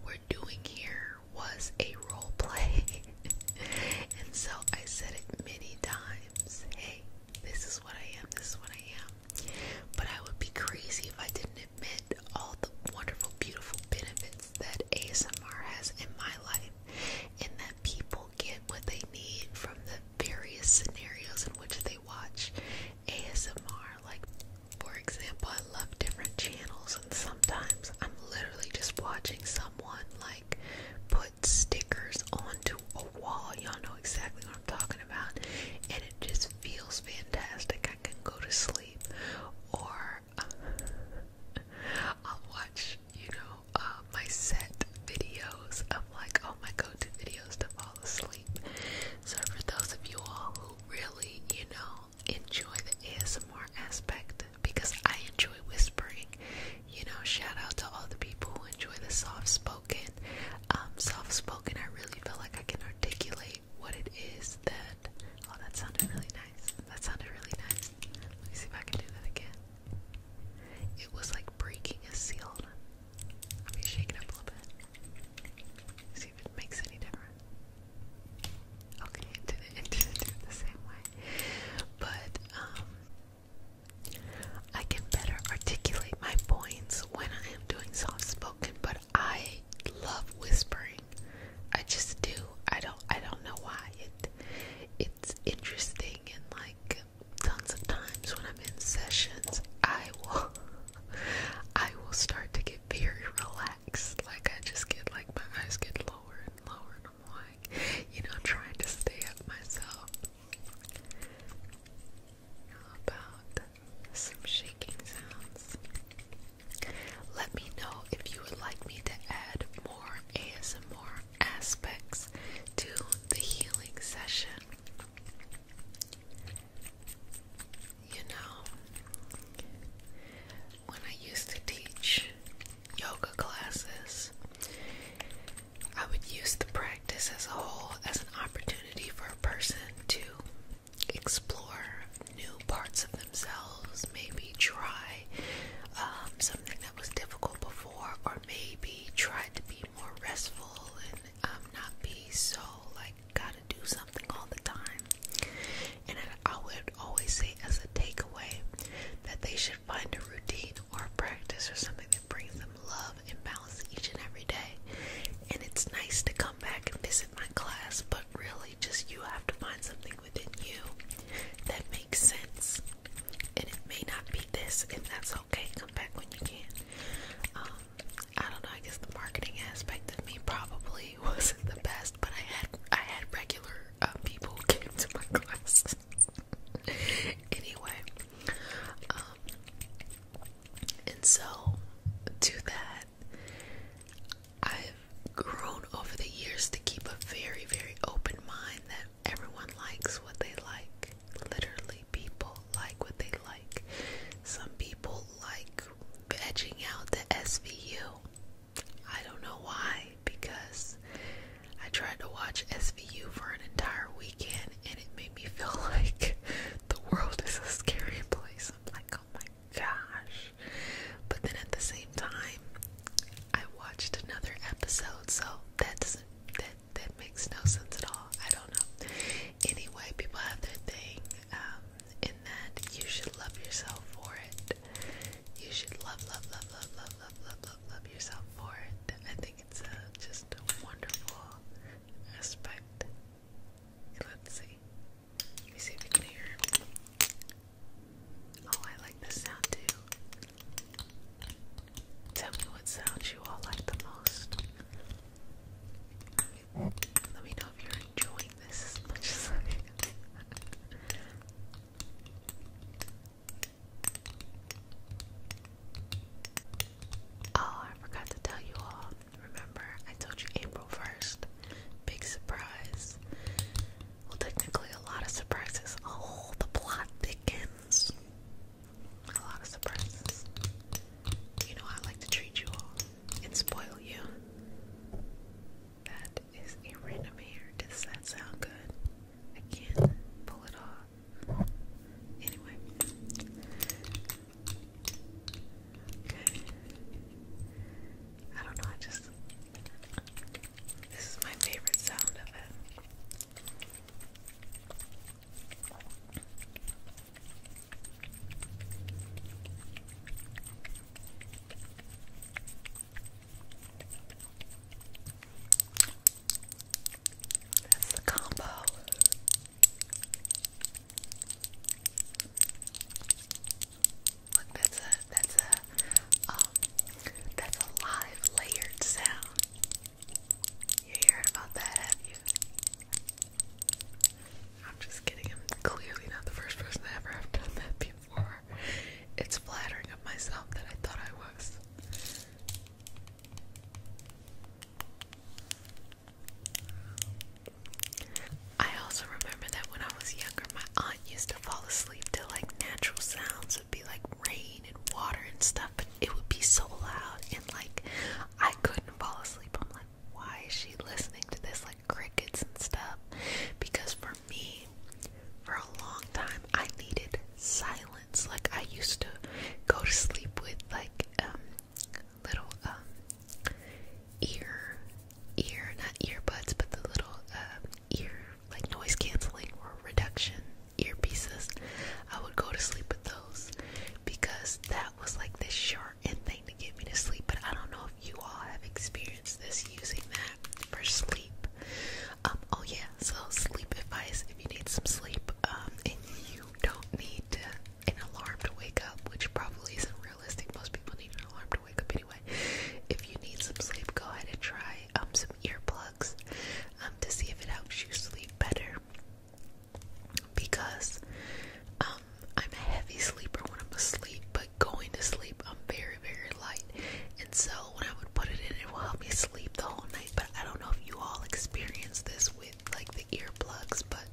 we're doing here was a role play. *laughs* and so I said it many times hey, this is what I am, this is what I am. But I would be crazy if I didn't admit all the wonderful, beautiful benefits that ASMR has in my life, and that people get what they need from the various scenarios in which they watch ASMR. Like, for example, I love different channels, and sometimes I'm literally just watching someone like put stickers onto a wall. Y'all know exactly what I'm talking about, and it just feels fantastic. I can go to sleep, or *laughs* I'll watch, you know, uh, my set videos. I'm like, oh my go-to videos to fall asleep. So for those of you all who really, you know, enjoy the ASMR aspect, because I enjoy whispering, you know, shout out to all the people who enjoy the soft-spoken. Um, soft-spoken, I really feel like I can articulate what it is that. Oh, that sounded really nice. That sounded really nice. Let me see if I can do that again. It was like breaking a seal. Let me shake it up a little bit. See if it makes any difference. Okay, it did it the same way. But, um, I can better articulate my points when I am doing soft spoken, but I love whispering. I just do. I don't I don't know why. It it's interesting and like tons of times when I'm in sessions I will *laughs* I will start to get very relaxed. Like I just get like my eyes get lower and lower and I'm like, you know, trying to stay up myself. How about some shaking sounds? Let me know if you would like me to add more ASMR aspects to the healing session. You know, when I used to teach yoga classes, I would use the practice as a whole as an opportunity for a person to explore new parts of themselves, maybe try um, something that was difficult before, or maybe try to be more restful and um, not be so like gotta do something all the time. And I, would always say, as a takeaway, that they should find a routine or practice or something that brings them love and balance each and every day. And it's nice to come back and visit my class, but really just you have to find something within you that makes sense. And it may not be this, and that's okay. Come back when you can. Um, I don't know. I guess the marketing aspect of me probably *laughs* wasn't the best, but I had I had regular uh, people came to my *laughs* class. anyway, um, and so do that, I've grown over the years to keep a very, very open mind that everyone likes what they like. Literally, people like what they like. Some people like edging out the SVU. I don't know why, because I tried to watch SVU for an entire weekend and it made me *laughs* feel like the world is a scary place. I'm like, oh my gosh trash. But then at the same time, I watched another episode, so that doesn't that that makes no sense at all. I don't know. Anyway, people have their thing, um, in that you should love yourself for it. You should love, love, love, love, love, love, love, love, love yourself for it. I think it's a, uh, just a wonderful aspect. Let's see. Let me see if you can hear. Oh, I like this sound too. Tell me what sounds you all like the most. Let me know if you're enjoying this as much as I am. Oh, I forgot to tell you all. Remember, I told you April 1st. Big surprise. Well, technically, a lot of surprises. Oh, the plot thickens. A lot of surprises. You know, I like to treat you all and spoil you. That is a random hair. Does that sound good? I can't pull it off. Anyway. Okay. I don't know, I just this is my favorite sound of it. That's the combo. Look, that's a that's a um, that's a live layered sound. You heard about that, I'm just kidding. I'm clearly not the first person to ever have done that before. It's flattering of myself that I thought I was. I also remember that when I was younger, my aunt used to fall asleep sleep to like natural sounds. It'd be like rain and water and stuff, but it would be so loud and like I couldn't fall asleep. I'm like, why is she listening to this? Like crickets and stuff. Because for me, for a long time, I needed silence. Like I used to go to sleep with like um little um ear ear not earbuds but the little um ear like noise canceling or reduction earpieces. I would go to sleep with those because that was like the short end thing to get me to sleep. But I don't know if you all have experienced this using that for sleep. Um, oh yeah, so sleep advice if you need some sleep, um, and you don't need an alarm to wake up, which probably isn't realistic. Most people need an alarm to wake up anyway. If you need some sleep, go ahead and try um, some earplugs um, to see if it helps you sleep better. Because um, I'm a heavy sleeper when I'm asleep, but going to sleep, I'm very, very light. And so when I would put it in, it will help me sleep the whole night. But I don't know if you all experience this with like the earplugs, but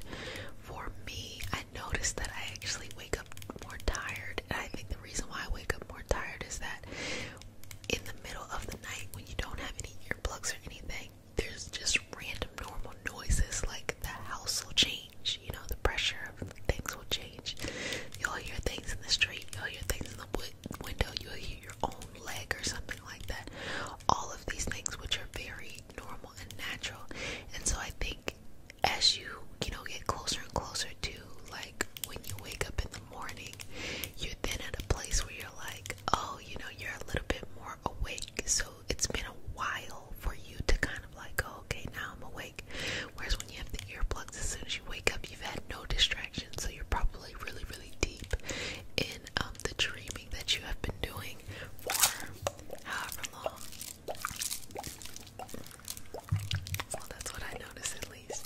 for me, I noticed that I actually wake up more tired. And I think the reason why I wake up more tired is that in the middle of the night when you don't have any earplugs or anything, there's just random normal noises like the house will change, you know, the pressure of things will change. You'll hear things in the street, you'll hear things in the wood window, you'll hear your own leg or something like that. All of these things which are very normal and natural. And so I think as you, you know, get closer and closer to like like when you wake up in the morning, you're then at a place where you're like, oh, you know, you're a little bit more awake. So it's been a while for you to kind of like, oh, okay, now I'm awake. Whereas when you have the earplugs, as soon as you wake up, you've had no distractions. So you're probably really, really deep in um, the dreaming that you have been doing for however long. Well, that's what I noticed at least.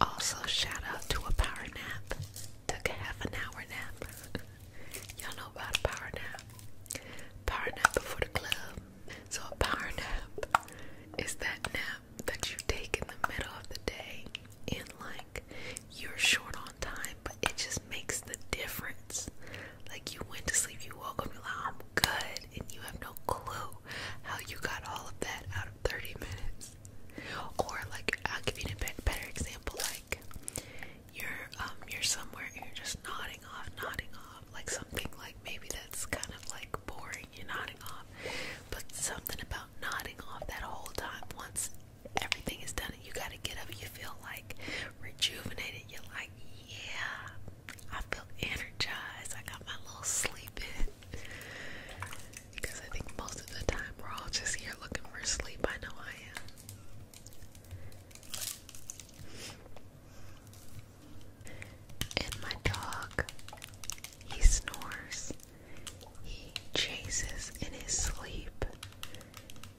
Also, shout out to a power nap. Took a half an hour nap. *laughs* Y'all know about a power nap. Power nap before the club. So, a power nap is that nap that you take in the middle of the day in like you're short on time, but it just makes the difference. Like you went to sleep, you woke up, you're like, I'm good, and you have no clue how you got all of that out of 30 minutes. Or like, I'll give you a better example. Like you're um, you're somewhere, and you're just nodding off, nodding off, like something like maybe that's kind of like boring. You're nodding off, but something about nodding off that whole time once everything is done and you gotta get up. You feel like rejuvenated. You're like, yeah, I feel energized. I got my little sleep in. Because I think most of the time we're all just here looking for sleep. I know I am. And my dog, he snores. He chases in his sleep.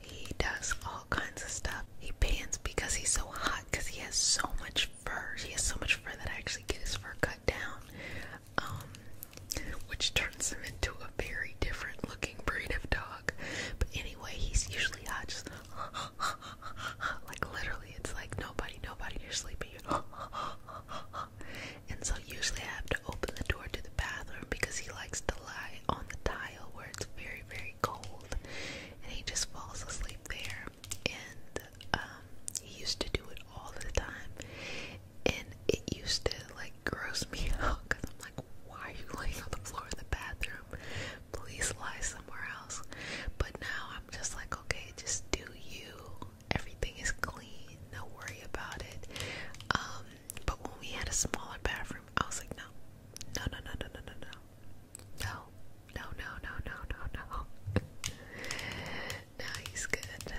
He does all kinds of stuff. He pants because he's so hot because he has so much fur. He has so much fur that I actually get his fur cut down, um, which turns him into a very different looking breed of dog. But anyway, he's usually hot, just *laughs* like literally, it's like nobody, nobody, you're sleeping. *laughs* and so usually I have to open the door door to the bathroom because he likes to lie on the tile where it's very, very cold and he just falls asleep there. And um, he used to do it all the time, and it used to like gross me *laughs* out because I'm like, why are you laying on the floor in the bathroom? Please lie somewhere else. But now I'm just like, okay, just do you. Everything is clean, no worry about it. Um, but when we had a smaller bathroom, I was like, no, no, no, no, no, no, no, no, no, no, no, no, no, no, no. *laughs* now he's good.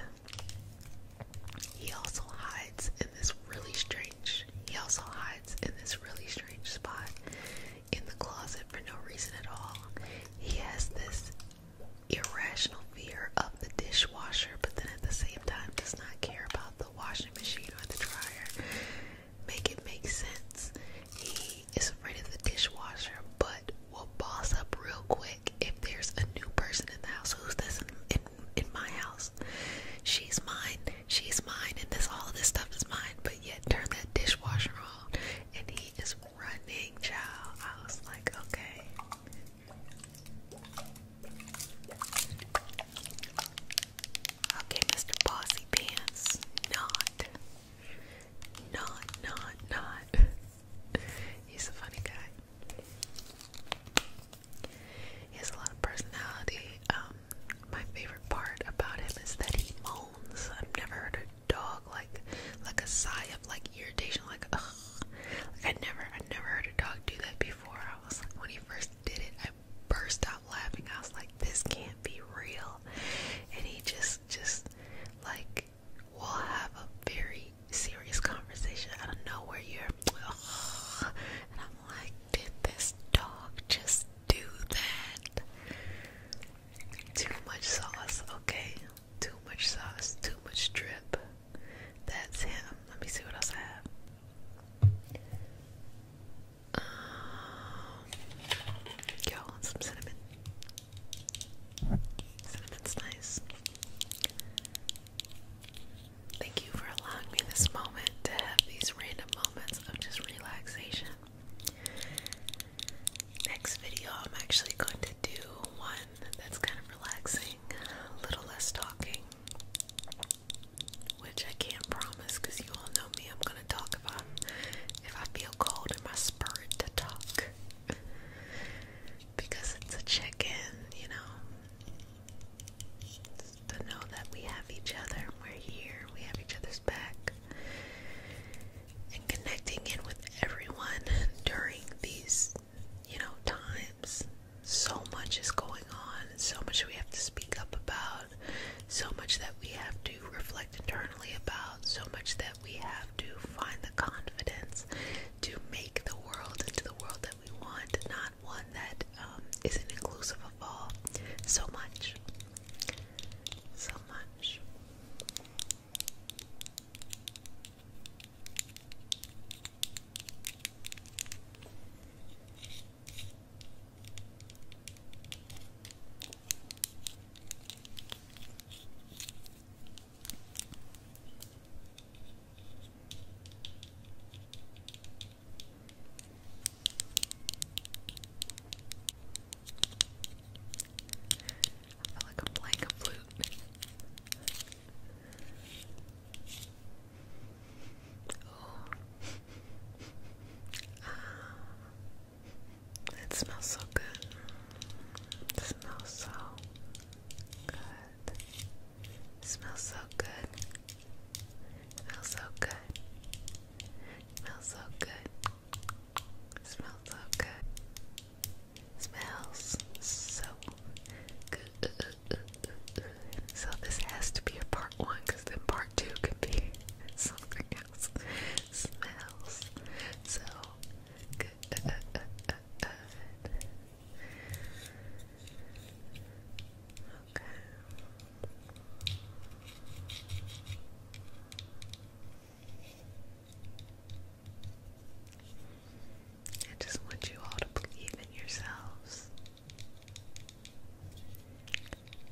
He also hides in this really strange. He also hides in this really strange spot in the closet for no reason at all. He has this irrational fear of the dishwasher, but then at the same time does not care about the washing machine or the dryer. Make it make sense. He is afraid of the dishwasher, but will boss up real quick if there's a new person in the house. Who's this in, in, in my house? She's mine. She's mine, and this all of this stuff is mine. But yet, turn that dishwasher on, and he is running, child. I was like, okay. Okay, Mr. Bossy Pants. Not. Not, not, not. *laughs* He's a funny guy. He has a lot of personality. Um, my favorite part about him is that he moans. I've never heard a dog like like a sigh of like irritation, like ugh. Like I never I never heard a dog do that before. I was like when he first did it, I burst out laughing. I was like, this can't be real. And he just, just like, we'll have a very serious conversation I don't know where You're, oh. *sighs* and I'm like, did this dog just do that? Too much sauce, okay? Too much sauce, too much drip. That's him. Let me see what else I have go um, on some cinnamon. Cinnamon's nice. Thank you for allowing me this moment to have these random moments of just relaxation. Next video, I'm actually going to do one that's kind of relaxing, a little less talking, which I can't promise because you all know me. I'm gonna talk about if I feel cold in my spirit to talk because it's a check-in, you know. to know that we have each other, we're here, we have each other's back, and connecting in with everyone during these, you know, times so much is going on, so much we have to speak up about, so much that we have to reflect internally about, so much that we have to find the confidence to make the world into the world that we want, not one that um, not inclusive of all. So much. So much. I feel like I'm playing a Oh. It smells so good. smells so good. smells so good. smells so good. smells so good. smells so good. smells so good. So this has to be a part one, because then part two could be *laughs* something else. Smells. So Okay. I just want you all to believe in yourselves.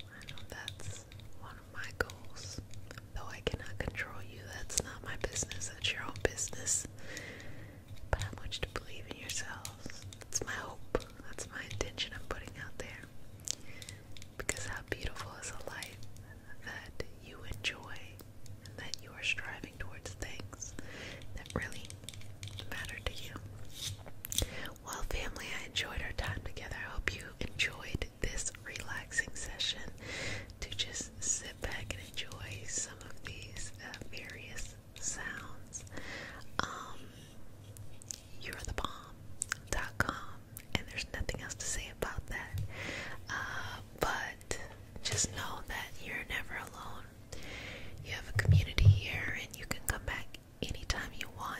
I know that's one of my goals. Though I cannot control you, that's not my business, that's your own business. But I want you to believe in yourselves. That's my hope, that's my intention I'm putting out there. Because how beautiful is a life that you enjoy and that you are striving towards things that really matter to you. Well, family, I enjoyed our time together. I hope you enjoyed this relaxing session to just sit back and enjoy some of these uh, various sounds. Um, you're the bomb.com, and there's nothing else to say about that. Uh, but just know that you're never alone. You have a community here, and you can come back anytime you want.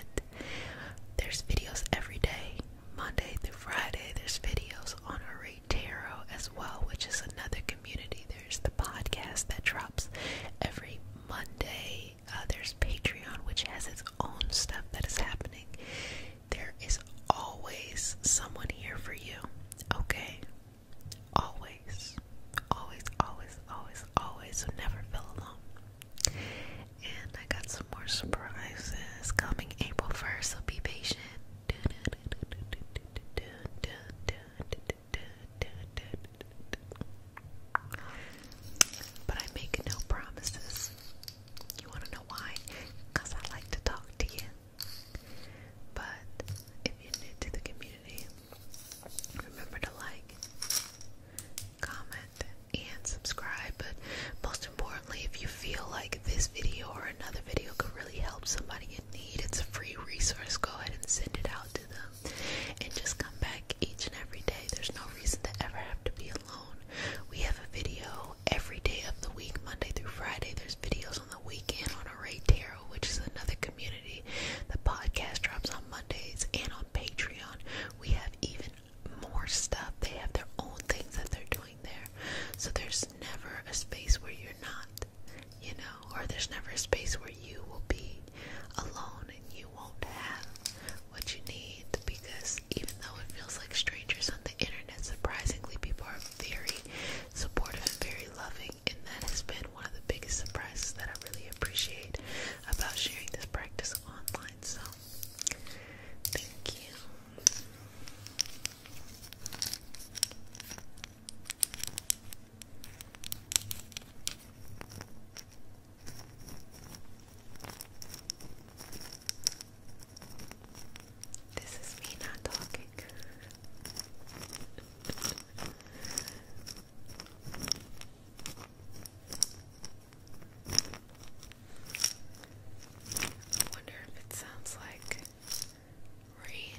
There's videos every day, Monday through Friday. There's videos on Array Tarot as well, which is another community. There's the podcast that drops every Monday. Uh, there's Patreon, which has its own stuff that is happening. There is always someone here for you, okay? Always, always, always, always, always, never feel alone. And I got some more surprises coming April 1st, so be patient. But I make no promises. You want to know why? Because I like to talk to you. But if you're new to the community, remember to like, comment, and subscribe. But most importantly, if you feel like this video or another video could really help somebody in need, it's a free resource. Go ahead and send it out to them. And just come back each and every day. There's no reason to ever have to be alone. We have a video every day of the week, Monday through Friday. There's videos on the weekend on a Ray Tarot, which is another community. The podcast drops on Mondays and on Patreon we have even more stuff. They have their own things that they're doing there. So there's never a space where you're not, you know, or there's never a space where you will be alone and you won't have what you need because even though it feels like strangers on the internet, surprisingly, people are very supportive and very loving, and that has been one of the biggest surprises that I really appreciate about sharing this practice online. So, thank you. This is me not talking. I wonder if it sounds like rain.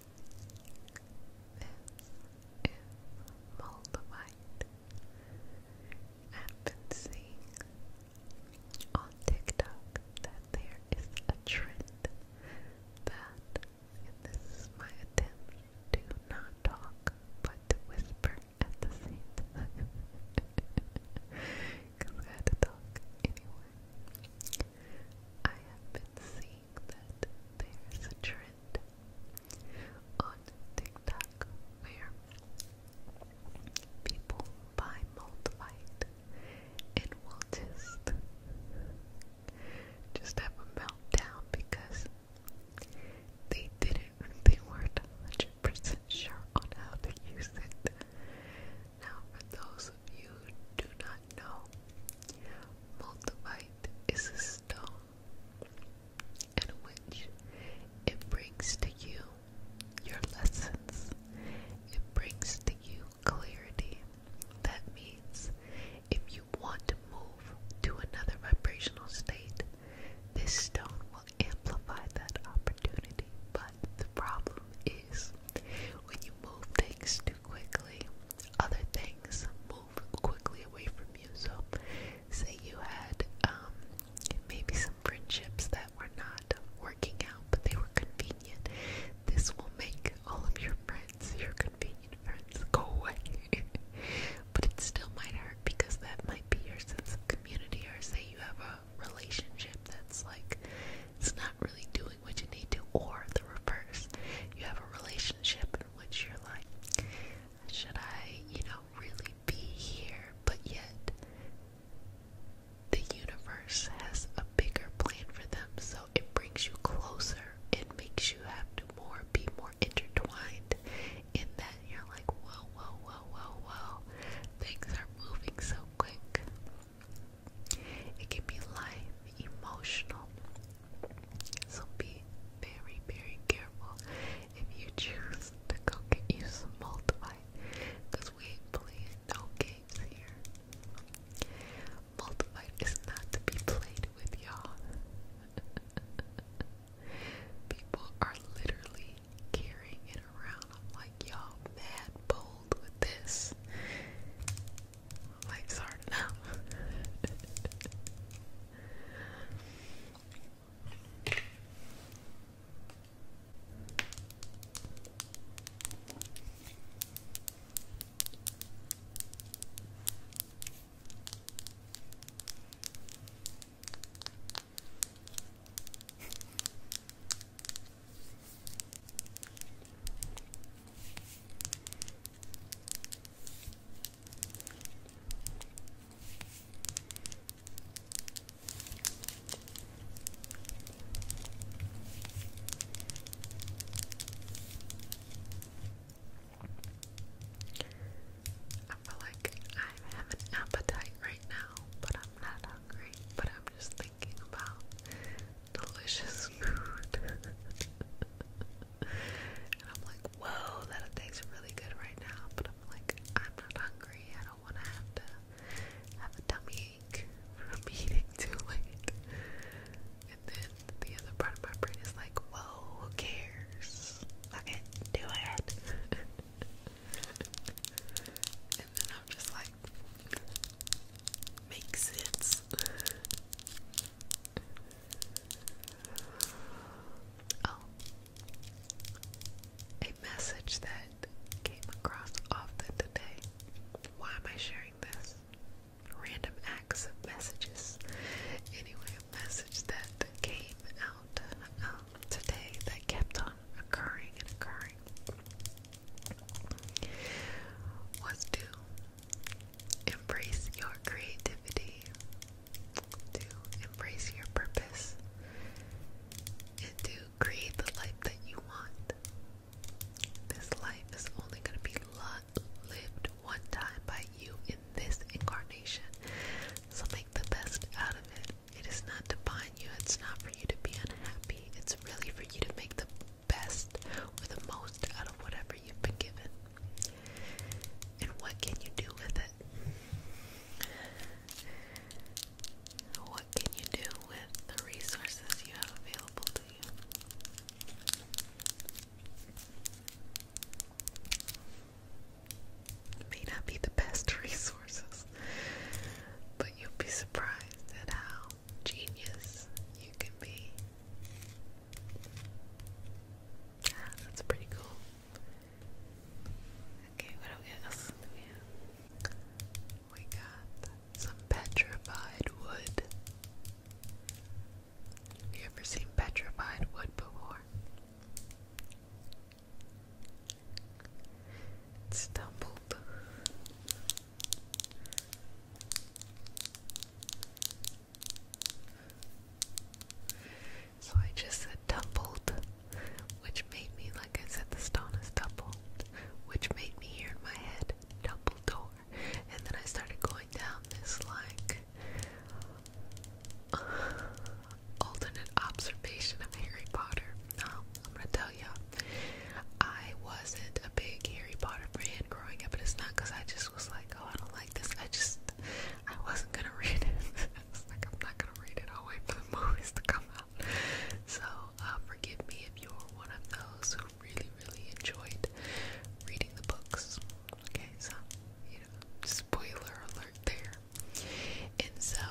This is I've been seeing on TikTok that there is a trend that, this is my to not talk but whisper at the same time. Because *laughs* I had to talk anyway. I have been seeing there's a trend on TikTok where people buy multivite and will just just have a meltdown because they didn't they weren't hundred percent sure on how to use it. Now for those you do not know, multivite is a stone in which it brings to you your lessons. It brings to you clarity. That means if you want to move to another vibrational state, this stone will amplify that opportunity. But the problem is when you move things too quickly, other things move quickly away from you. So, say you had um, maybe some friendships that were not working out, but they were convenient. This will make all of your friends, your convenient friends, go away. *laughs* but it still might hurt because that might be your sense of community, or say you have a relationship that's like it's not really doing doing what you need to, or the reverse. You have a relationship in which you're like, should I, you know, really be here? But yet, the universe has a bigger plan for them, so it brings you closer. It makes you have to more be more intertwined in that you're like, whoa, whoa, whoa, whoa, whoa. Things are moving so quick. It can be life, emotional. So be very, very careful if you choose to go get you some multiply. Because we ain't no games here. Multiply is not to be played with, y'all. *laughs* People are literally carrying it around. I'm like, y'all mad bold with this. Life's hard enough. I feel like I have an appetite right now, but I'm not hungry. But I'm just thinking about delicious *laughs* and I'm like, whoa, that tastes really good right now. But I'm like, I'm not hungry. I don't want to have to have a tummy ache from *laughs* eating too late. And then the other part of my brain is like, whoa, who cares? do it. *laughs* and then I'm just like, makes sense. Oh. A message that came across often today. Why am I sharing this? Random acts of messages. Anyway, a message that came out um, today that kept on occurring and occurring was to embrace your creativity, to embrace your purpose, and to create the life that you want. This life is only going to be lived one time by you in this incarnation, so make the best out of it. It is not to bind you, it's not for you to be unhappy, it's really for you to make the best or the most out of whatever you've been given. And what can you do with it? What can you do with the resources you have available to you? may not be the best *laughs* resources, but you'll be surprised at how genius you can be that's pretty cool. Okay, what else do we have? We got some petrified wood. you ever seen petrified wood before? stumbled. So I just said tumbled, which made me, like I said, the stone is doubled, which made me hear in my head door," And then I started going down this, like, *sighs* alternate observation of Harry Potter. Now, I'm gonna tell you, I wasn't a big Harry Potter fan kid growing up, and it's not because I just was like, oh, I don't like this. I just, I wasn't gonna *laughs* read it. I was like, I'm not gonna read it. I'll wait for the movies to come out. So uh, forgive me if you're one of those who really, really enjoyed reading the books. Okay, so you know, spoiler alert there. And so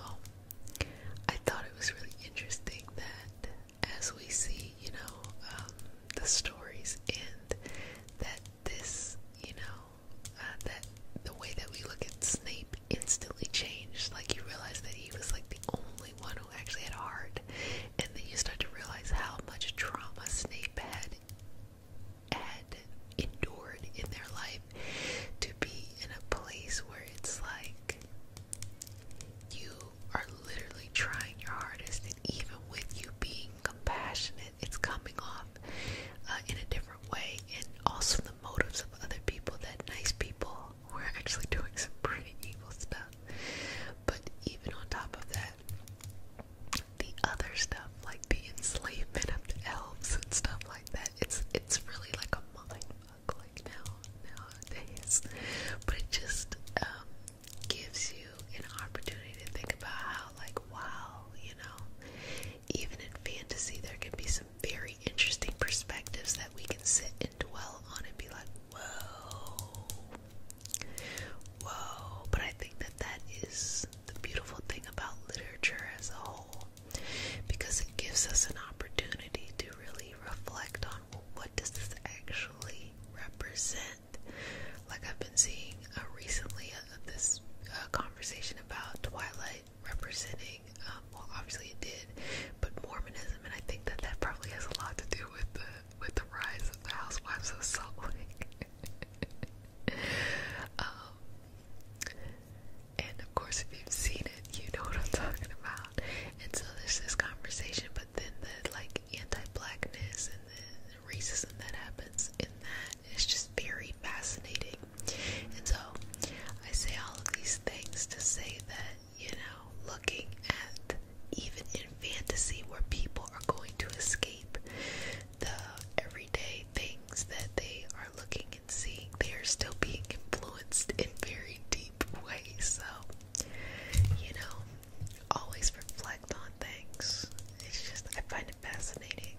I thought it was really interesting that as we see, you know, um, the stories and that this, you know, uh, that the way that we look at Snape instantly changed. Like you realize that he was like the only one who actually had heart, and then you start to realize how much trauma Snape had had endured in their life to be in a place where it's like you are literally trying your hardest and even with you being compassionate it's coming off uh, in a different way, and also the motives of other people that nice people were actually doing some pretty evil stuff. But even on top of that, the other stuff, like the enslavement of the elves and stuff like that, it's it's really like a mind fuck like now nowadays. But just um, gives you an opportunity to think about how, like, wow, you know, even in fantasy, there can be some very interesting perspectives that we can sit and dwell on and be like, whoa, whoa. But I think that that is the beautiful thing about literature as a whole because it gives us an opportunity to really reflect on well, what does this actually represent like I've been seeing uh, recently uh, this uh, conversation about Twilight representing, um, well, obviously it did, but Mormonism, and I think that that probably has a lot to do with the with the rise of the Housewives of Salt Lake. *laughs* um, and of course, if you've seen it, you know what I'm talking about. And so there's this conversation, but then the like anti-blackness and the racism that happens in that—it's just very fascinating. And so I say all of these things to say that, you know, looking at even in fantasy where people are going to escape the everyday things that they are looking and seeing, they are still being influenced in very deep ways. So, you know, always reflect on things. It's just, I find fascinating.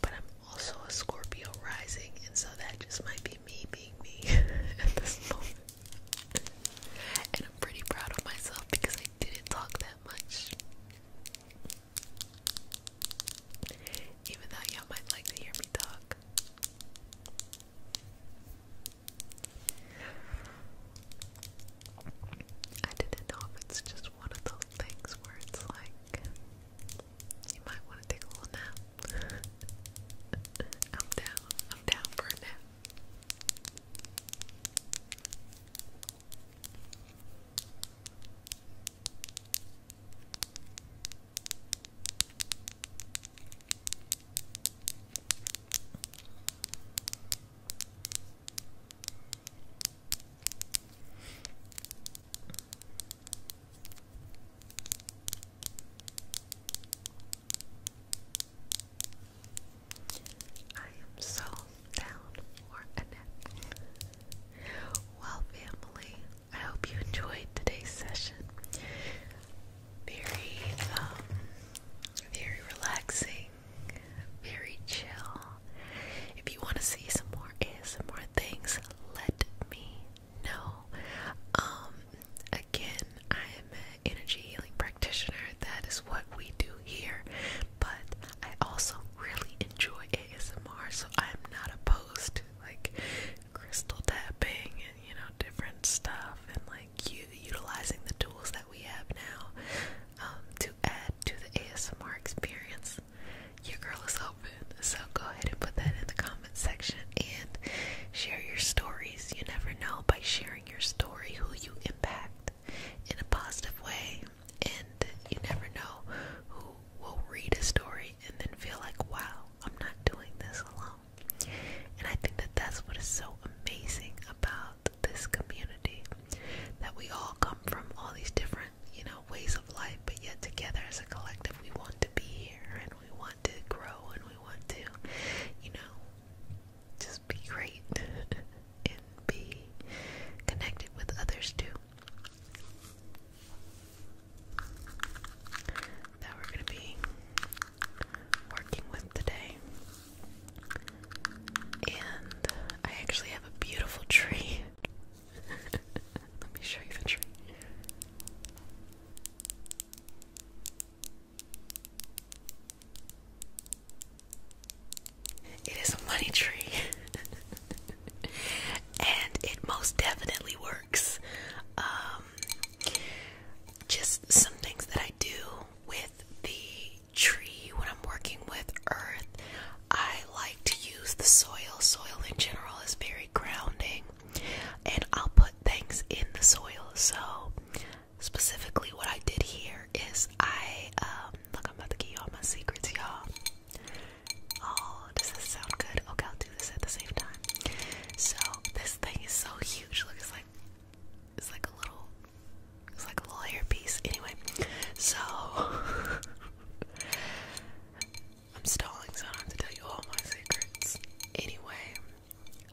But I'm also a Scorpio rising, and so that just might be me being me *laughs* at this moment. And I'm pretty proud of myself because I didn't talk that much. Even though y'all might like to hear me talk. I didn't know if it's just one of those things where it's like you might want to take a little nap. *laughs* I'm down. I'm down for a nap. I am so down for a Well, family, I hope you enjoyed today's session. Very, um, very relaxing, very chill. If you want to see some more ASMR things, let me know. Um, again, I'm an energy healing practitioner. That is what we do here. But I also really enjoy ASMR, so I'm not opposed to like crystal tapping and you know different stuff and like you utilizing the tools that we have now um, to add to the ASMR experience, your girl is open. So go ahead and put that in the comment section and share your stories. You never know by sharing your story who you impact in a positive way, and you never know who will read a story and then feel like, wow, I'm not doing this alone. And I think that that's what is so amazing about this community that we all come from all these different, you know, ways of life, but yet together as a collective, we want to be here and we want to grow and we want to, you know, just be great *laughs* and be connected with others too. That we're going to be working with today. And I actually have a beautiful tree. *laughs* Let me show you the tree. It is a money tree. *laughs* and it most definitely works. Um, just some things that I do with the tree when I'm working with earth. I like to use the soil. Soil in general is very grounding, and I'll put things in the soil. So, specifically, what I did here is I um, look. I'm about to give all my secrets, y'all. Oh, does this sound good? Okay, I'll do this at the same time. So, this thing is so huge. Look, it's like it's like a little it's like a little hairpiece. Anyway, so *laughs* I'm stalling so I don't have to tell you all my secrets. Anyway,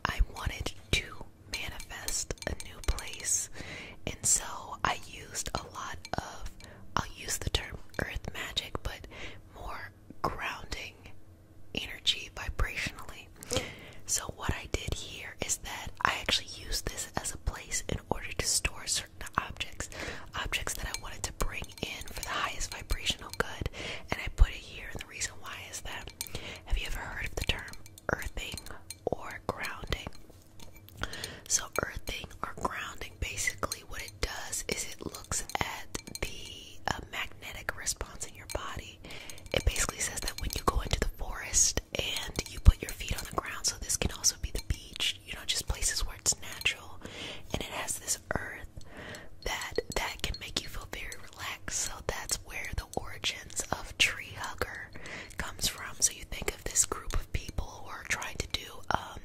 I wanted to manifest a new place, and so I used a lot of I'll use the term earth magic, but more grounding energy vibrationally. So, what I did here is that I actually used this as a place in order to store certain objects, objects that I wanted to bring in for the highest vibrational good, and I put it here. And the reason why is that have you ever heard of the term earthing or grounding? So, earthing or grounding basically what it does is it looks at the uh, magnetic response in your body. It basically says that when you go into the forest and you put your feet on the ground. So this can also be the beach, you know, just places where it's natural and it has this earth that that can make you feel very relaxed. So that's where the origins of tree hugger comes from. So you think of this group of people who are trying to do um,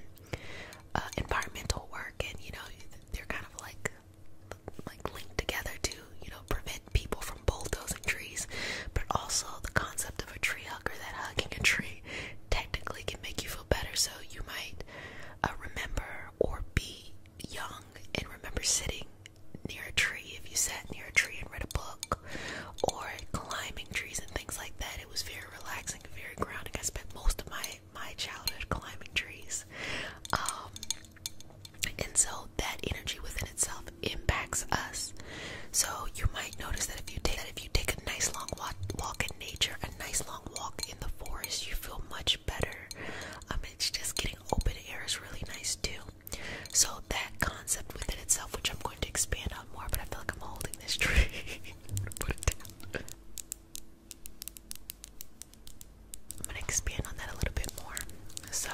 uh, environmental work and you know they're kind of like like linked together to you know prevent people from bulldozing trees but also the concept of a tree hugger that hugging a tree memory technically can make you feel better. So you might uh, remember or be young and remember sitting near a tree. If you sat near a tree and read a book, or climbing trees and things like that, it was very relaxing, and very grounding. I spent most of my my childhood climbing trees, um, and so that energy within itself impacts us. So you might notice that if you take that if you take a nice long walk, in nature, a nice long walk in the forest. You feel much better. Um, it's just getting open air is really nice too. So that concept within itself, which I'm going to expand on more, but I feel like I'm holding this tree. *laughs* I'm gonna expand on that a little bit more. So,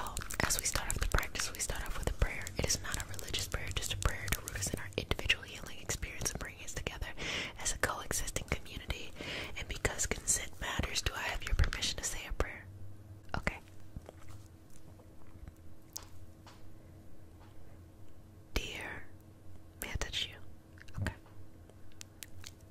as we start off the practice, we start off with a prayer. It is not a religious prayer, just a prayer to root us in our individual healing experience and bringing us together as a coexisting community. And because consent matters, do I have your permission to say a prayer? Okay. Dear, may Okay.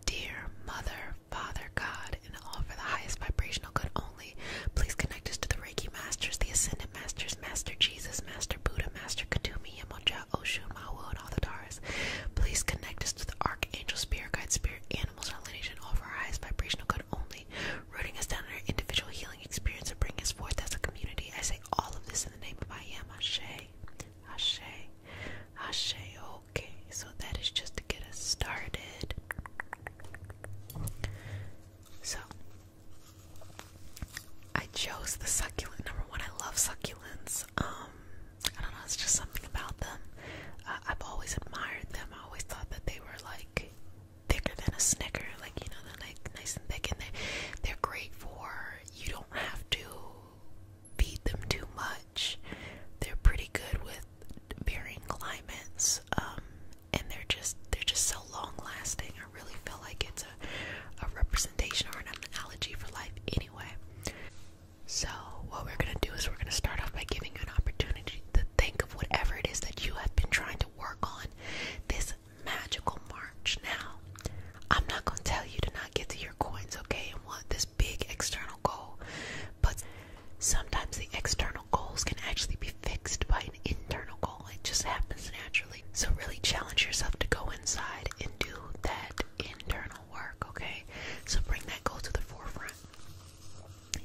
Dear Mother, Father, God, and all for the highest vibrational good only, please connect us to the Reiki Masters, the Ascended and masters Master Jesus, Master Buddha, Master Katumi, Yamoja, Oshun, Mawu, and all the Taras. Please connect us to the Archangel, Spirit Guide, Spirit Animals, our lineage, and offer our highest vibrational good only, rooting us down in our individual healing experience and bringing us forth as a community. I say all of this in the name of I Am Ashe, Ashe, Ashe. Okay, so that is just to get us started. So, I chose the succulent. Number one, I love succulents. Um, I don't know, it's just something about them. Uh, I've always admired them. I always thought that they were like thicker than a Snicker, like you know, they're like nice and thick, and they they're great for you don't have to feed them too much. They're pretty good with varying climates. Um, and they're just they're just so long lasting. I really feel like it's a, a representation or an analogy for life anyway. So what we're gonna do is we're gonna start off by giving you an opportunity to think of whatever it is that you have been trying to work on this magical March. Now, I'm not gonna tell you to not get to your coins, okay, and want this big external goal. But sometimes the external goals can actually be fixed by an internal goal. It just happens naturally so really challenge yourself to go inside and do that internal work, okay? So bring that goal to the forefront.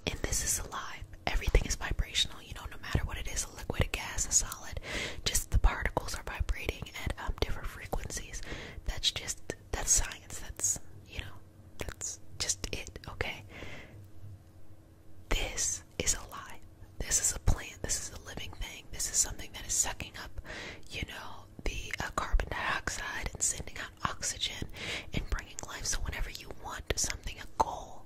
And this is alive. Everything is vibrational, you know, no matter what it is, a liquid, a gas, a solid, just the particles are vibrating at um, different frequencies. That's just that's science. That's you know, that's just it, okay? This is alive. This is a plant. This is a living thing. This is something that is sucking up, you know, the uh, carbon dioxide and sending out oxygen and bringing life. So, whenever you want something, a goal,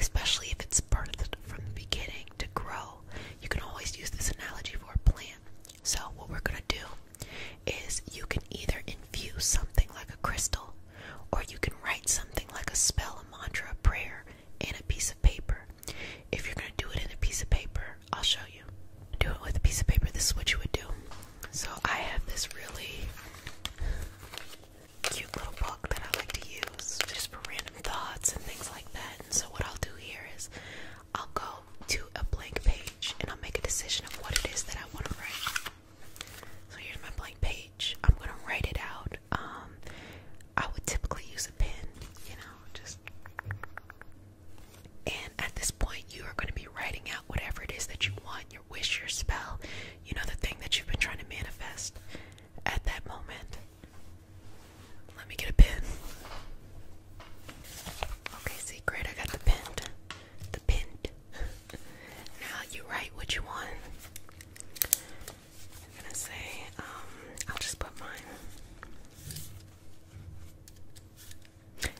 especially if it's birthed from the beginning to grow, you can always use this analogy for a plant. So, what we're going to do is you can either infuse something like a crystal, or you can write something like a spell, a mantra, a prayer, in a piece of paper. If you're going to do it in a piece of paper, I'll show you. Do it with a piece of paper. This is what you would do. So I have this really cute little book that I like to use just for random thoughts and things like that. And so what I'll do here is I'll go to a blank page and I'll make a decision of what it is that I want to write. So here's my blank page. I'm gonna write it out. Um, I would typically use a pen, you know, just. And at this point, you are going to be writing out whatever it is that you want your wish, your spell, you know, the thing that you've been trying to manifest at that moment. Let me get a pen. Okay, see, great, I got the pen. The pen. *laughs* now you write what you want. I'm gonna say, um, I'll just put mine.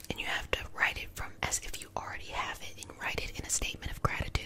And you have to write it from as if you already have it and write it in a statement of gratitude.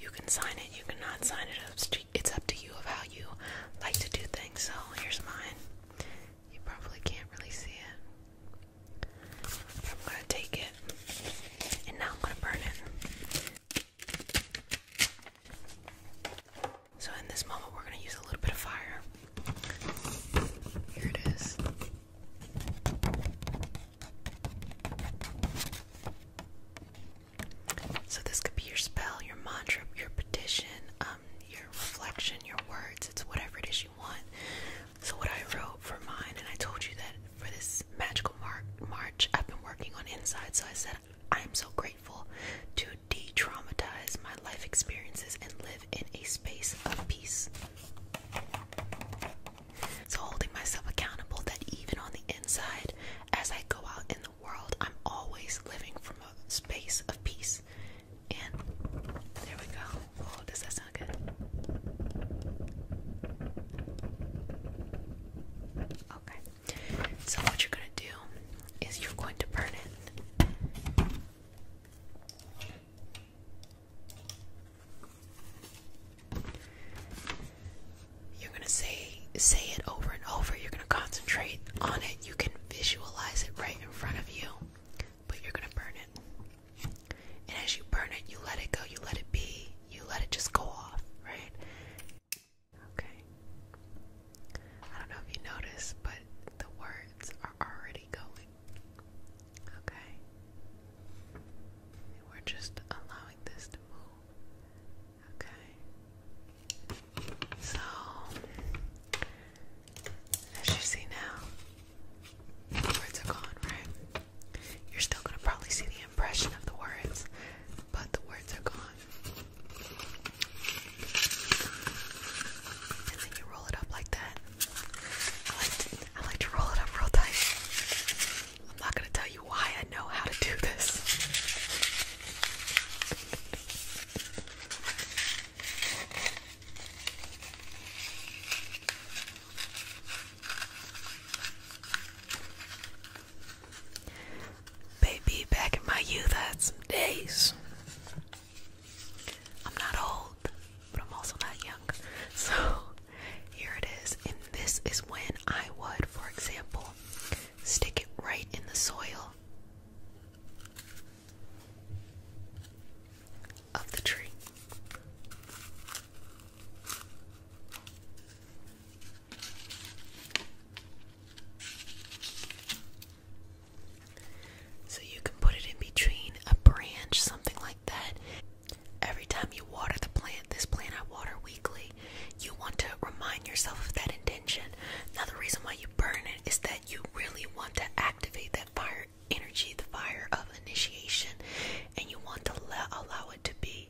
You can sign it, you cannot sign it. It's up to you of how you like to do things. So here's mine. You probably can't really see it. I'm gonna take it and now I'm gonna burn it. So in this moment, we're going to use a little bit of fire. Here it is. So this could be your spell, your mantra, your petition, um, your reflection, your words. It's whatever it is you want. So what I wrote for mine, and I told you that for this magical March, I've been working on inside. So I said I am so grateful to de traumatize my life experiences and live in a space of peace. So, holding myself accountable that even on the inside, as I go out in the world, I'm always living from a space of peace. And there we go. Oh, does that sound good? Okay. So what you're gonna do is you're going to burn it. You're gonna say say it over and over. You're gonna concentrate on it. You can visualize it right in front of you, but you're gonna burn it. And as you burn it, you let it go. You let it be. You let it just go off, right? Okay. I don't know if you notice, but the words are already going. Okay. we're just allowing this to move. Okay. So, as you see now, the words are gone, right? You're still going to probably see the impression of the words, but the words are gone. And then you roll it up like that. I like to, roll it up real tight. I'm not gonna tell you why I know how to do this. Baby, back in my youth, I had some days. I'm not old, but I'm also not young. *laughs* So here it is. And this is when I would, for example, stick it right in the soil of the tree. So you can put it in between a branch, something like that. Every time you water the plant, this plant I water weekly, you want to remind yourself of that intention. Now, the reason why you burn it is that you really want to activate that fire energy, the fire of initiation, and you want to let, allow it to be.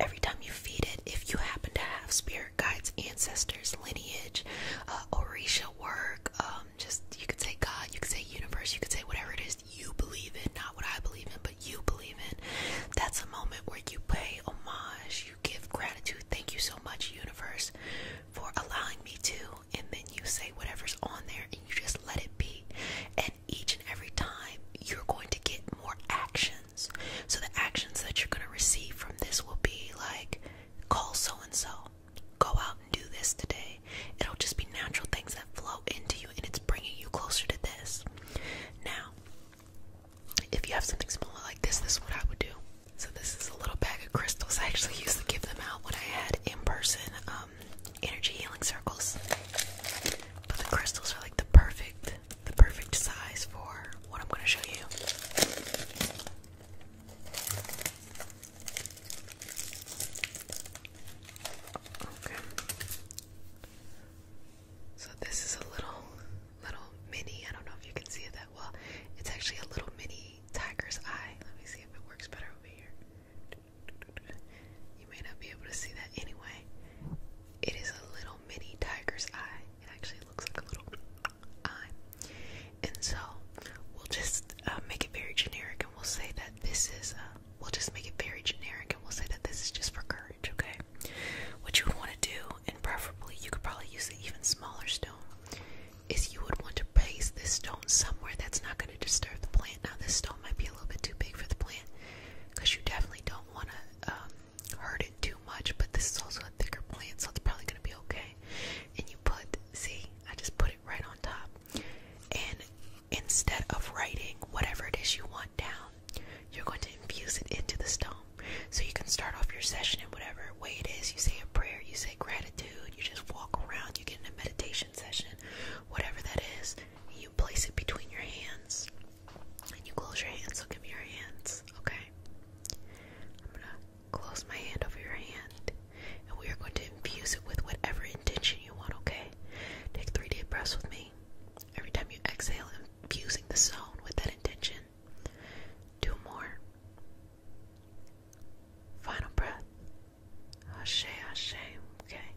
Every time you feed it, if you happen to have spirit guides ancestors, lineage, uh, Orisha work. Um, just you could say God, you could say universe, you could say whatever it is you believe in, not what I believe in, but you believe in. That's a moment where you pay homage, you give gratitude. Thank you so much, universe, for allowing me to. And then you say whatever's on there and you just let it be. And each and every time, you're going to get more action so the actions that you're going to receive from this will be like call so and so, go out and do this today. It'll just be natural things that flow into you and it's bringing you closer to this. Now, if you have something smaller like this, this is what I would do. So this is a little bag of crystals. *laughs* I actually used to give them out when I had in-person um, energy healing circles. But the crystals are like the perfect the perfect size for what I'm going to show you. Okay. So this is a little little mini, I don't know if you can see that well. It's actually a little mini tiger's eye. Let me see if it works better over here. You may not be able to see that anyway. It is a little mini tiger's eye. It actually looks like a little I. And so we'll just uh, make it very generic and we'll say that this is, uh, we'll just make it very generic and we'll say that this is just for courage, okay? What you would want to do, and preferably you could probably use the even smaller stone, is you would want to place this stone somewhere that's not going to disturb the plant. Now, this stone might be a little bit too big for the plant because you definitely don't want to um, hurt too much, but this is also a thicker plant, so it's probably gonna be okay. And you put, see, I just put it right on top. And instead of writing whatever it is you want down, you're going to infuse it into the stone. So you can start off your session in whatever way it is. You say a prayer, you say gratitude, you just walk around, you get in a meditation session, whatever that is. You place it between your hands and you close your hands. So give me, your hands, okay? I'm gonna close my hand over your hand, and we are going to infuse it with whatever intention you want, okay? Take three deep breaths with me. Every time you exhale, infusing the zone with that intention. Two more. Final breath. Hushay, hushay. Okay.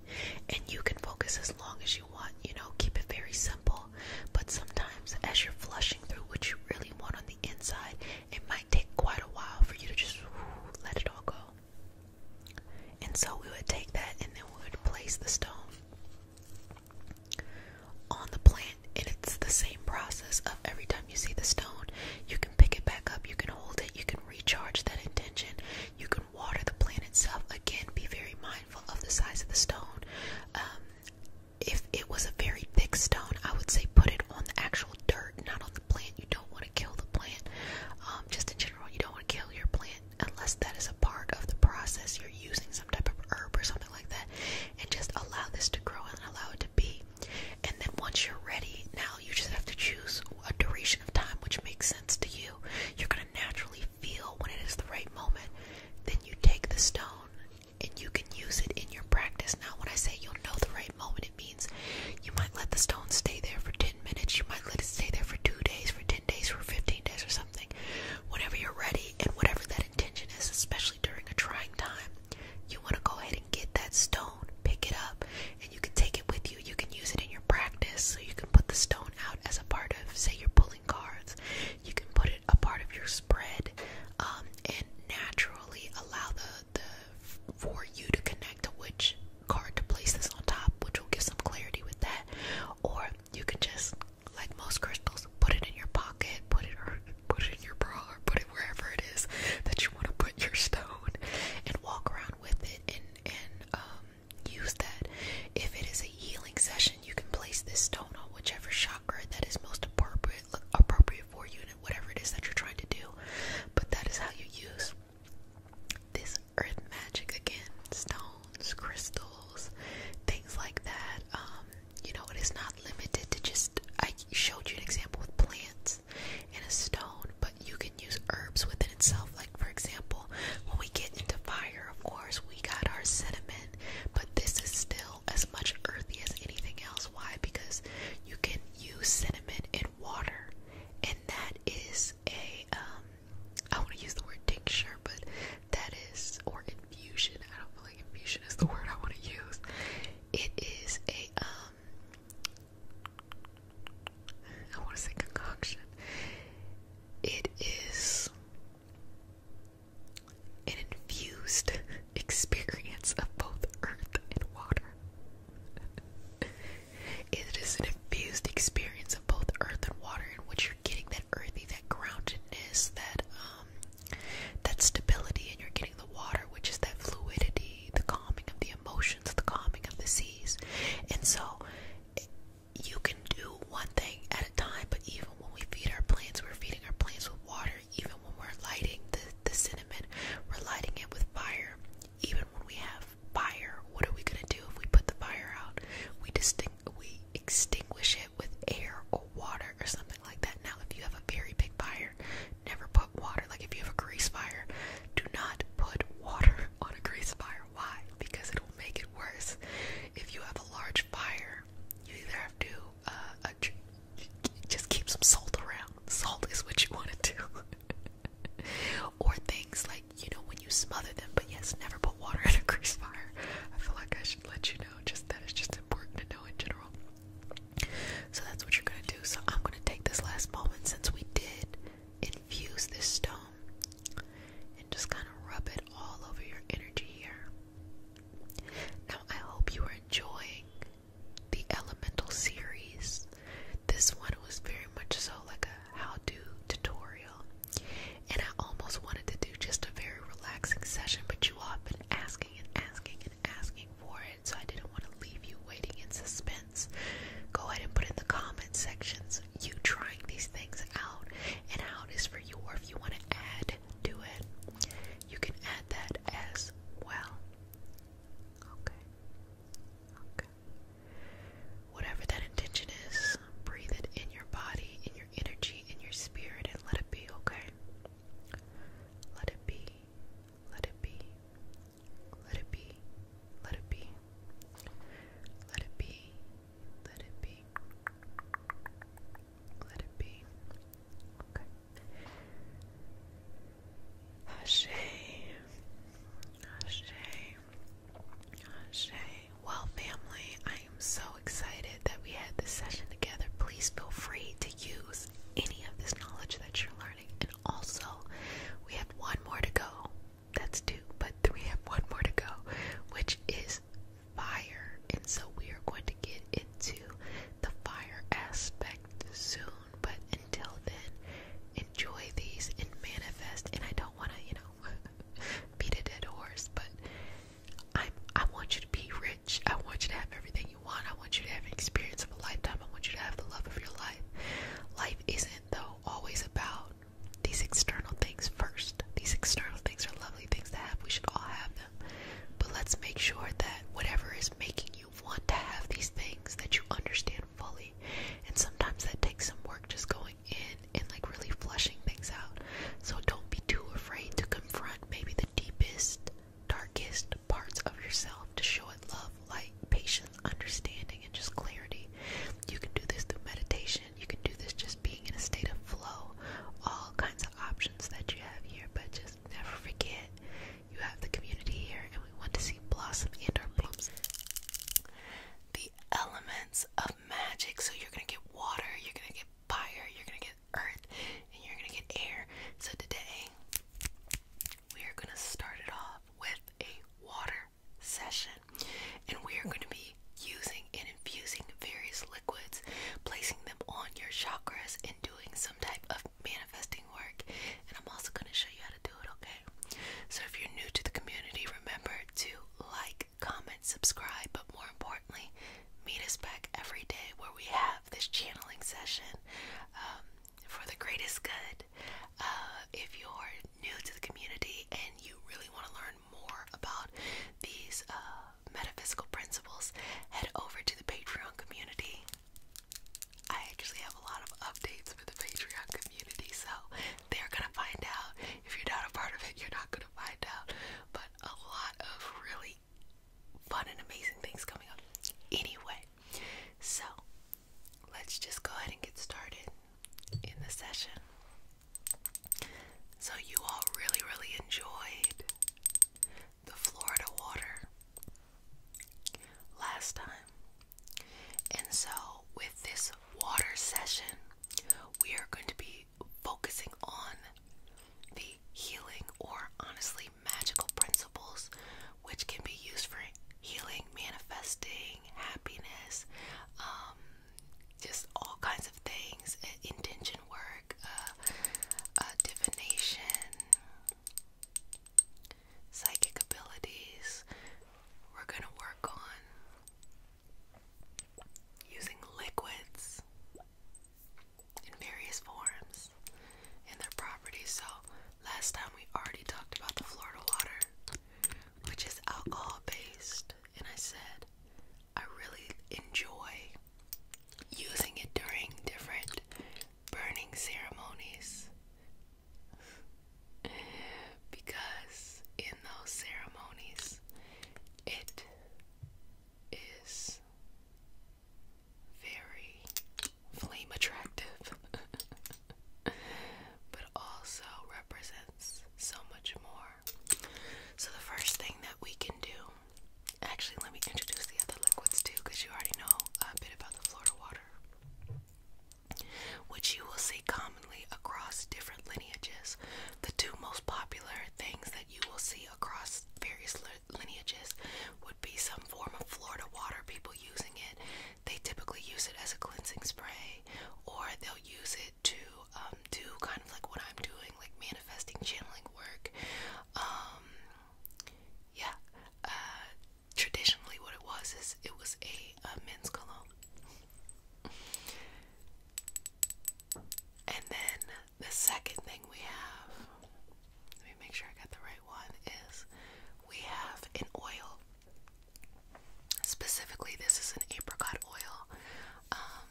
And you can focus as long as you want, you know, keep it very simple. But sometimes, as you're flushing through what you really want on the inside, it might take quite a while for you to just let it all go. And so we would take that and then we would place the stone on the plant, and it's the same process of every time you see the stone, you can pick it back up, you can hold it, you can recharge that intention, you can water the plant itself. Again, be very mindful of the size of the stone. Um, if it was a very thick stone, I would say put it on the actual dirt, not on the plant. You don't want to kill the plant. Um, just in general, you don't want to kill your plant unless that is a part of the process. You're using some type of herb or something like that, and just allow this to grow and allow it to be. And then once you're ready, now you just have to choose a duration of time which makes sense to you. You're gonna naturally feel when it is the right moment. Then you take the stone and you can use it in your practice. Now, when I say you'll know the right moment, it means you might let the stone stay there for 10 minutes, you might let it stay there for two days, for 10 days, for 15 days, or something. Whenever you're ready, and whatever that intention is, especially during a trying time, you want to go ahead and get that stone, pick it up, and you can take it with you. You can use it in your practice, so you can put the stone out as a part of, say, you're pulling cards you can put it a part of your spread um, and naturally allow the, the for you to connect to which card to place this on top, which will give some clarity with that. Or you can just, like most crystals, put it in your pocket, put it or put it in your bra, or put it wherever it is that you want to put your stone, and walk around with it and and um, use that. If it is a healing session, you can place this stone on whichever chakra that is most appropriate appropriate for you and whatever it is that you're trying to do. But that is how you use this earth magic again, stones, crystals, things like that. Um, you know, it is not limited to just I showed you an example with plants and a stone, but you can use herbs within itself. Like for example, when we get into fire, of course, we got our cinnamon, but this is still as much earthy as anything else. Why? Because you can use cinnamon in water, and that is a um. I want to use the word tincture, but that is or infusion. I don't feel like infusion is the *laughs* word I want to use. It is a um. want to say concoction. It is an infused *laughs* experience of both earth and water. *laughs* it is an infused experience of both earth and water in which you're getting that earthy, that groundedness, that um that stability, and you're getting the water, which is that fluidity, the calming of the emotions, the calming of the seas. And so you can do one thing at a time, but even when we feed our plants, we're feeding our plants with water even when we're lighting the, the cinnamon, we're lighting it with fire. Even when we have fire, what are we gonna do if we put the fire out? We distinct we extinguish it with air or water or something like that. Now, if you have a very big fire, never put water. Like if you have a grease fire, do not put water *laughs* on a grease fire. Why? Because it will make it worse. If you have a large fire, you either have to uh, just keep some salt around. Salt is what you want to do. *laughs* or things like, you know, when you smother them, but yes, never put water in a grease fire. I feel like I should let you know just that is just important to know in general. So that's what you're going to do. So I'm going to take this last moment since we did infuse this stone and just kind of rub it all over your energy here. Now, I hope you are enjoying the Elemental series. This one was very much so like a how to tutorial, and I almost wanted to do just a very relaxing session, but you all have been asking and asking and asking for it, so I didn't want to leave you waiting in suspense. Go ahead and put in the comment sections you trying these things out and how it is for you, or if you want to add to it you can add that as well. Okay. Okay. Whatever that intention is, breathe it in your body, in your energy, in your spirit, and let it be, okay? Let it be. Let it be. Let it be. Let it be. Let it be. Let it be. Let it be. Okay. Ashe. Ashe. Well, family, I am so excited that we had this session together. Please feel free to use any of this knowledge that you're learning. And also, we have one more to go. That's two, but three have one more to go, which is fire. And so we are going to get it to the fire aspect soon, but until then, enjoy these and manifest. And I don't want to, you know, *laughs* beat a dead horse, but I'm, I want you to be rich. I want you to have everything you want. I want you to have an experience of a lifetime. I want you to have the love of your life. Life isn't, though, always about these external things first. These external things are lovely things to have. We should all have them. But let's make sure that whatever is making you you want to have these things that you understand fully. And sometimes that takes some work just going in and like really flushing things out. So don't be too afraid to confront maybe the deepest, darkest parts of yourself to show it love, light, patience, understanding, and just clarity. You can do this through meditation, you can do this just being in a state of flow, all kinds of options that you have here, but just never forget you have the community here, and we want to see blossom and our blooms. The elements of magic. So you're gonna get water, you're gonna get fire, you're gonna get earth, and you're gonna get air. So today we are gonna start it off with a water session, and we are gonna be using and infusing various liquids, placing them on your chakras, and doing some type of manifesting work, and I'm also going to show you how to do it, okay? So, if you're new to the community, remember to like, comment, subscribe, but more importantly, meet us back every day where we have this channeling session um, for the greatest good. Uh, if you're new to the community and you really want to learn more about these uh, metaphysical principles, head over to the Patreon community. I actually have a lot of updates for the Patreon community, so they're gonna find out. If you're not a part of it, you're not gonna find out. But a lot of really fun and amazing things coming up. Anyway, so let's just go ahead and get started in the session. So, you all really, really enjoyed the Florida water last time. And so, with this water session, we are going to be focusing on the healing or honestly magical principles which can be used for healing, manifesting, happiness, um, just all kinds of things, intention work, uh, uh, divination, psychic abilities we're going to work on using liquids in various forms and their properties. So, last time we already talked about the Florida water, which is alcohol based, and I said I really enjoy using it during different burning ceremonies because in those ceremonies it is very flame attractive *laughs* but also represents so much more. So the first thing that we can do Actually, let me introduce the other liquids too, because you already know a bit about the Florida water, which you will see commonly across different lineages. The two most popular things that you will see across various lineages would be some form of Florida water, people using it. They typically use it as a cleansing spray, or they'll use it to um, do kind of like what I'm doing, like manifesting, channeling work. Um, yeah, uh, traditionally what it was is it was a, men's cologne. And then the second thing we have, let me make sure I got the right one, is we have an oil. Specifically, this is an apricot oil. Um,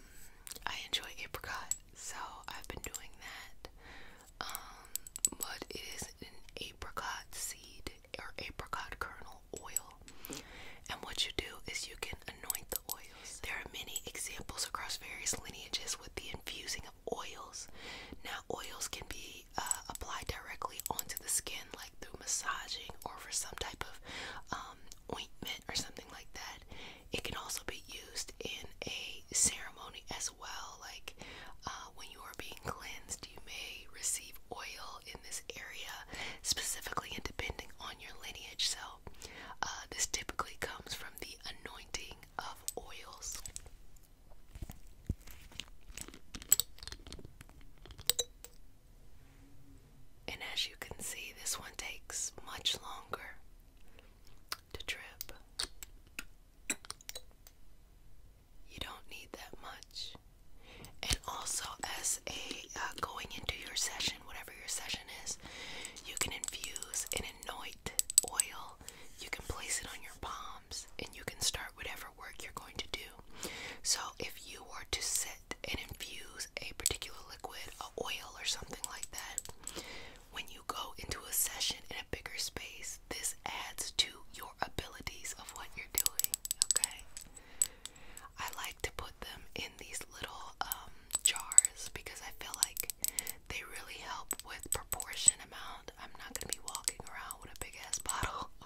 I enjoy apricot, so I've been doing that um, but it is an apricot seed or apricot kernel oil. And what you do is you can anoint the oils. There are many examples across various lineages with the infusing of oils. Now, oils can be uh, applied directly onto the skin, like through massaging or for some type of um, ointment or something like that. It can also be used in a ceremony as well. Like uh, when you are being cleansed, you may receive oil in this area specifically and depending on your lineage. So uh, this typically comes from the anointing of oils. And as you can see, this one takes much longer to drip. You don't need that much. And also, as a uh, going into your session, whatever your session is, you can infuse an anoint oil. You can place it on your palms, and you can start whatever work you're going to do. So, if you were to sit and infuse a particular liquid, a oil, or something like that, when you go into a session in a bigger space, this adds to your abilities of what you're doing, okay? I like to put them in these little um, jars because I feel like they really help with proportion amount. I'm not going to be walking around with a big ass bottle *laughs*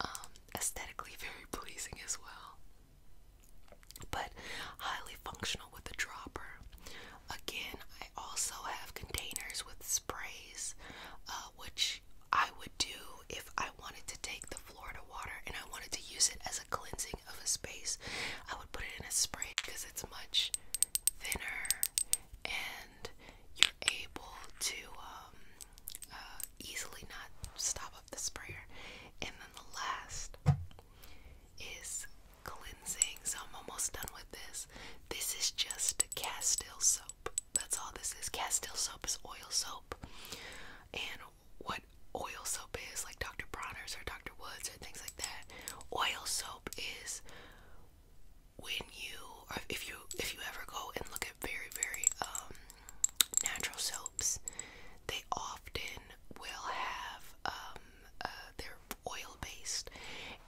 Um, aesthetically very pleasing as well. But highly functional with a dropper. Again, I also have containers with sprays, uh, which I would do if I wanted to take the Florida water and I wanted to use it as a cleansing of a space. I would put it in a spray because it's much thinner and you're able to um, uh, easily not stop up the sprayer. And then the last is cleansing, so I'm almost done with this. This is just Castile soap. That's all this is. Castile soap is oil soap. And what oil soap is, like Dr. Bronner's or Dr. Woods or things like that, oil soap is when you if you if you ever go and look at very very um, natural soaps, they often will have um, uh, their oil based.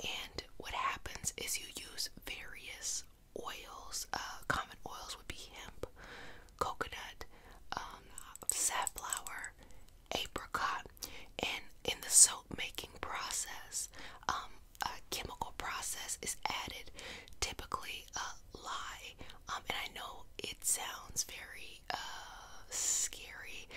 And what happens is you use various oils. Uh, common oils would be hemp, coconut, um, safflower, apricot. And in the soap making process, um, a chemical process is added, typically a lye. Um, and I know it sounds very uh, scary,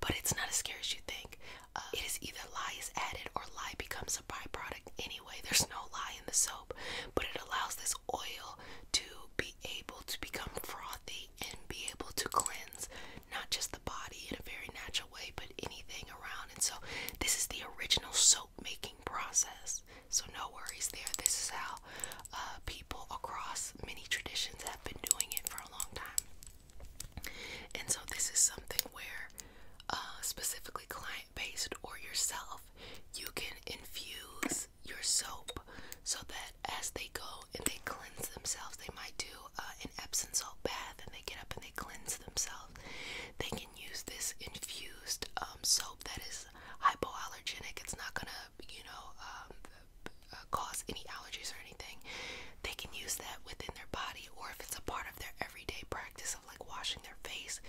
but it's not as scary as you think. Uh, it is either lye is added or lye becomes a byproduct anyway. There's no lye in the soap, but it allows this oil to be able to become frothy and be able to cleanse not just the body in a very natural way, but anything around. And so, this is the original soap making process. So, no worries there. This is how uh, people across many traditions have been doing it for a long time. And so, this is something where, uh, specifically client based or yourself, you can infuse your soap so that as they go and they cleanse themselves, they might do uh, an Epsom salt bath and they get up and they cleanse themselves. They can use this infused um, soap that is hypoallergenic, it's not gonna, you know, um, uh, cause any allergies or anything they can use that within their body, or if it's a part of their everyday practice of like washing their face,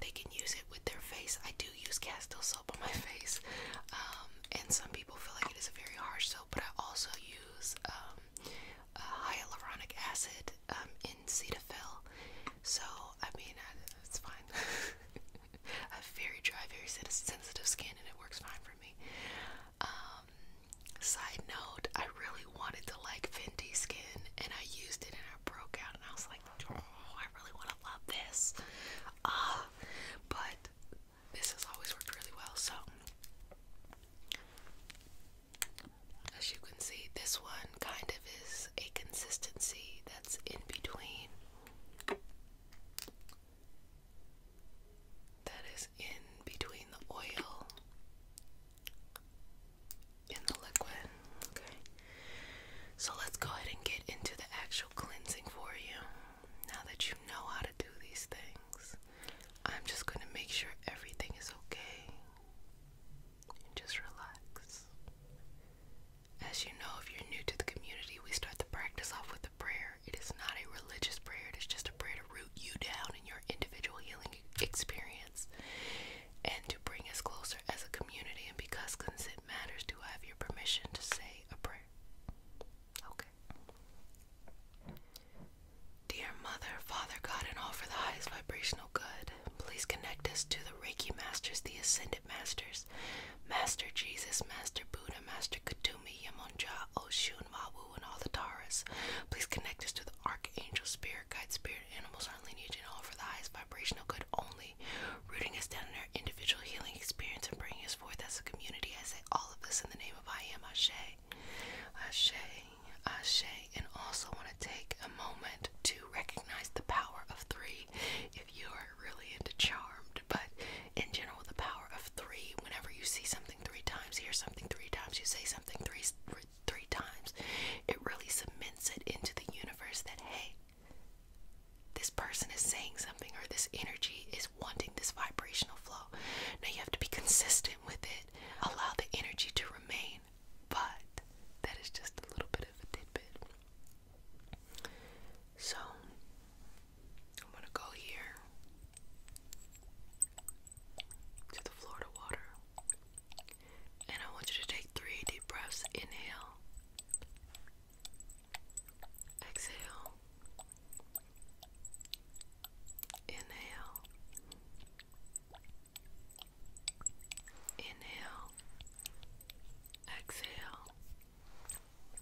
they can use it with their face. I do use Castile soap on my *laughs* face, um, and some people feel like it is a very harsh soap, but I also use um, hyaluronic acid um, in Cetaphil. So, I mean, it's fine. *laughs* I have very dry, very sensitive skin, and it works fine for me. Um, side note, I really wanted to like Fenty skin and I used it and I broke out and I was like, oh, I really want to love this. Uh, but this has always worked really well. So, as you can see, this one kind of is a consistency that's in between that is in between the oil and the liquid. Okay. So let's go ahead and get into the actual cleansing for you. Now that you know how to do these things, I'm just going to make sure everything is okay. just relax. As you know, if you're new to the community, we start the practice off with a prayer. It is not a religious prayer, it is just a prayer to root you down in your individual healing experience and to bring us closer as a community. And because consent matters, do I have your permission to say a prayer? Okay. Dear Mother, Father, God, and all for the highest vibrational good, please connect us to the Reiki Masters, the Ascended Masters, Master Jesus, Master Buddha, Master Katumi, Yamonja, Oshun, and and all the Taras. Please connect us to the Archangel, Spirit, Guide, Spirit, Animals, our lineage, and all for the highest vibrational good only, rooting us down in our individual healing experience and bringing us forth as a community. I say all of this in the name of I Am Ashe. Ashe, Ashe, and also want to take a moment to recognize the power of three if you are really into charmed, but in general, the power of three. Whenever you see something three times, hear something three times, you say something three three times, it really cements it into the universe that, hey, this person is saying something or this energy is wanting this vibrational flow. Now you have to be consistent with it, allow the energy to remain, but that is just a little bit of a tidbit. So I'm gonna go here to the Florida water. And I want you to take three deep breaths. Inhale, exhale, inhale, inhale, exhale.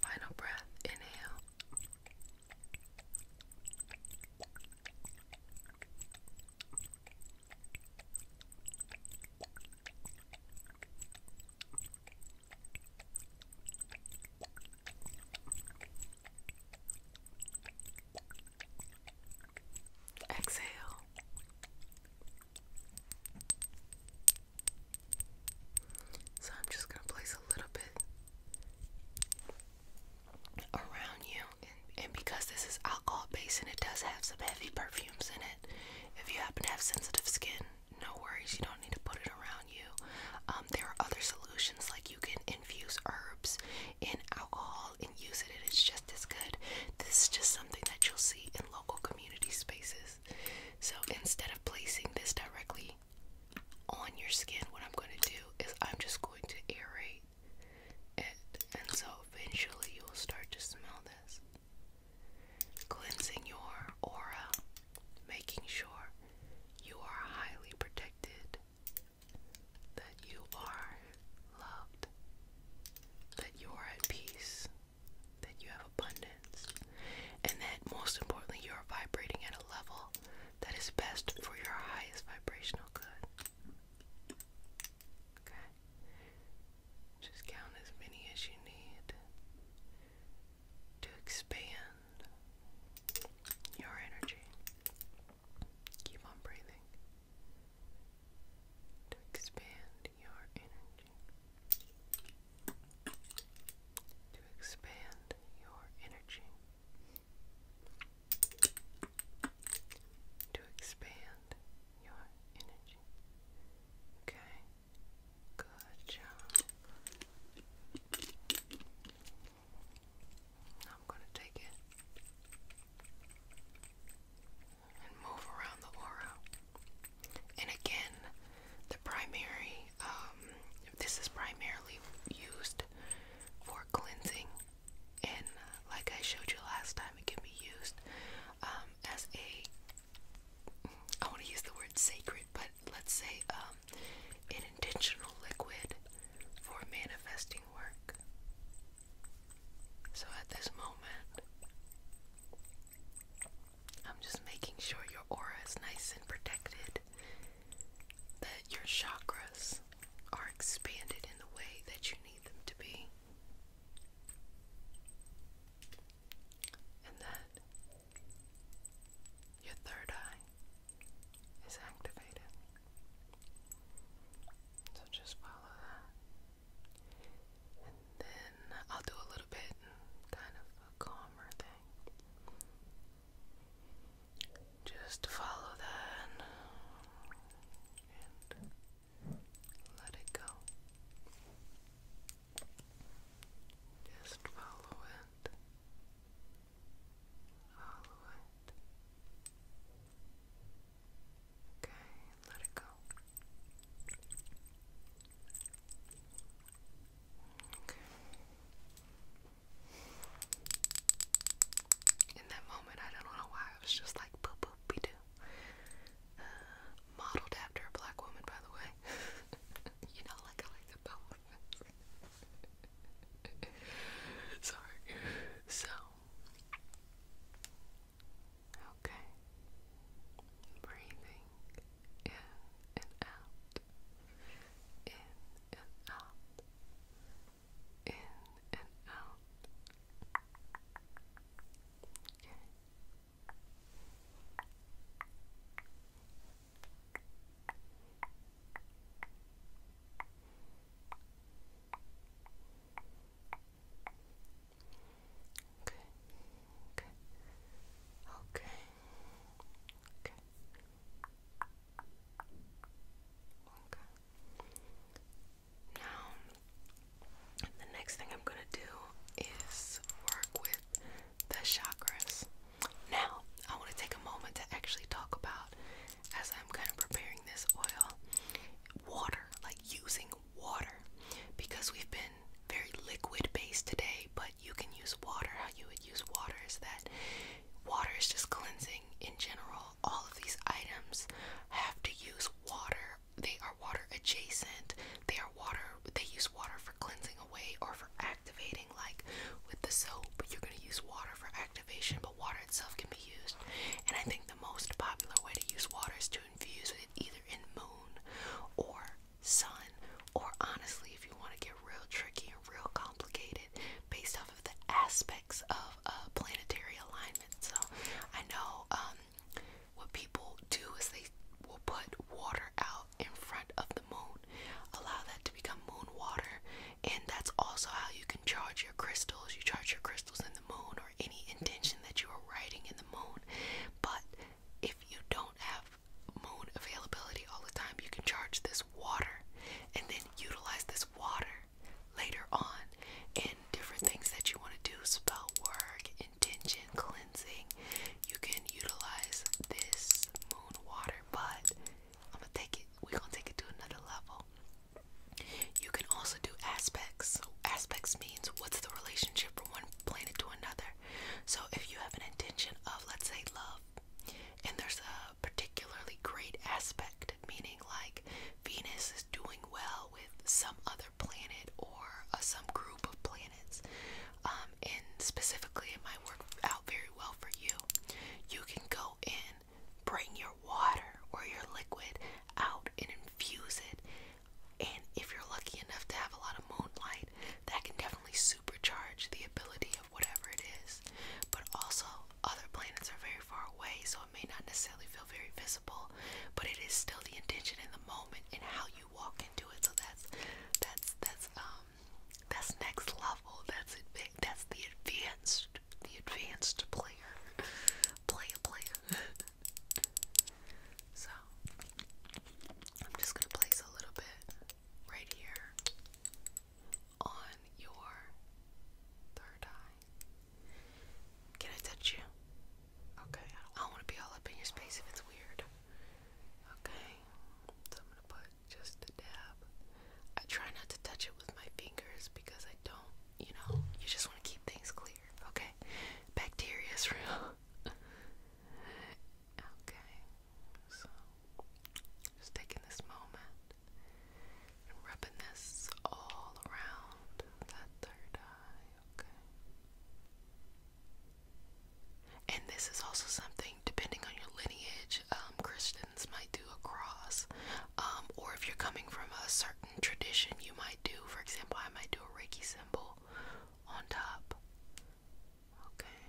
Final breath, inhale. Exhale. So I'm just going to place a little bit around you. And, because this is alcohol based and it does have some heavy perfumes in it, if you happen to have sensitive skin, no worries, you don't need to put it around you. Um, there are other solutions like you can infuse herbs in alcohol and use it, and it's just as good. This is just something that you'll see in local community spaces. So instead of placing this directly on your skin, what I'm going to do is I'm just going to aerate and so eventually you will start to smell this. Cleansing your aura, making sure you are highly protected, that you are loved, that you are at peace, that you have abundance, and that most importantly, you are vibrating at a level that is best for your highest vibrational good. Okay. Just count as many as you need to expand your energy. Keep on breathing to expand your energy. To expand your energy to expand your energy. Okay, good job. I'm going to take it and move around the aura. And again, the primary, um, this is primarily used for cleansing and uh, like I showed you last time, it can be used um, as a. I want to use the word sacred, but let's say um, an intentional liquid for manifesting work. So at this moment, I'm just making sure your aura is nice and protected, that your chakras are expanded in the way that you need them to be. And that your third eye is activated. So just follow that. And then I'll do a little bit kind of a calmer thing. Just follow that and let it go. Just follow it. Follow it. Okay, let it go. Okay in that moment, I don't know why, I was just like, boop, boop, we uh, modeled after a black woman, by the way. *laughs* you know, like I like the black *laughs* Sorry. So. Okay. Breathing in and out. In and out in and out. Okay. Okay. Okay. Okay. Okay. Now, the next thing I'm gonna do is work with the chakras. Now, I want to take a moment to actually talk about, as I'm kind of preparing this oil, water, like using water, because we've been very liquid based today, but you can use water how you would use water is that water is just cleansing in general all of these items have to use water. They are water adjacent. They are water. They use water for cleansing away or for activating. Like with the soap, you're gonna use water for activation, but water itself can be used. And I think the most popular way to use water is to infuse it either in moon or sun. Or honestly, if you want to get real tricky and real complicated, based off of the aspects of uh, planetary alignment. So I know um, what people do is they will put water out in front of the moon, allow that to become moon water, and that's also how you can charge your crystals. You charge your crystals in the moon or any intention that you are writing in the moon. But if you don't have moon availability all the time, you can charge this water and then utilize this water later on in different things that you want to do, spell work, intention, cleansing. You can utilize this moon water, but I'm gonna take it, we're gonna take it to another level. You can also do aspects. So aspects means what's the relationship from one planet to another. So if you have an intention of let's say love and there's a particularly great aspect, meaning like Venus is doing well with some other planet or uh, some group of planets, um, and specifically it might work out very well for you. You can go in, bring your water or your liquid out and infuse it, and if you're lucky enough to have a lot of moonlight, that can definitely supercharge the ability of whatever it is. But also, other planets are very far away, so may not necessarily feel very visible, but it is still the intention in the moment and how you walk into it. So that's that's that's um that's next level. That's that's the advanced the advanced player player player. *laughs* so I'm just gonna place a little bit right here on your third eye. Can I touch you? Okay, I don't want to be all up in your space if it's weird. Okay, so I'm gonna put just a dab. I try not to touch it with my fingers because I don't, you know, you just want to keep things clear. Okay, bacteria is *laughs* real. okay, so just taking this moment and rubbing this all around that third eye, okay? And this is also something, depending on your lineage, um, Christians might do a cross. Um, or if you're coming from a certain tradition, you might do, for example, I might do a Reiki symbol on top. Okay?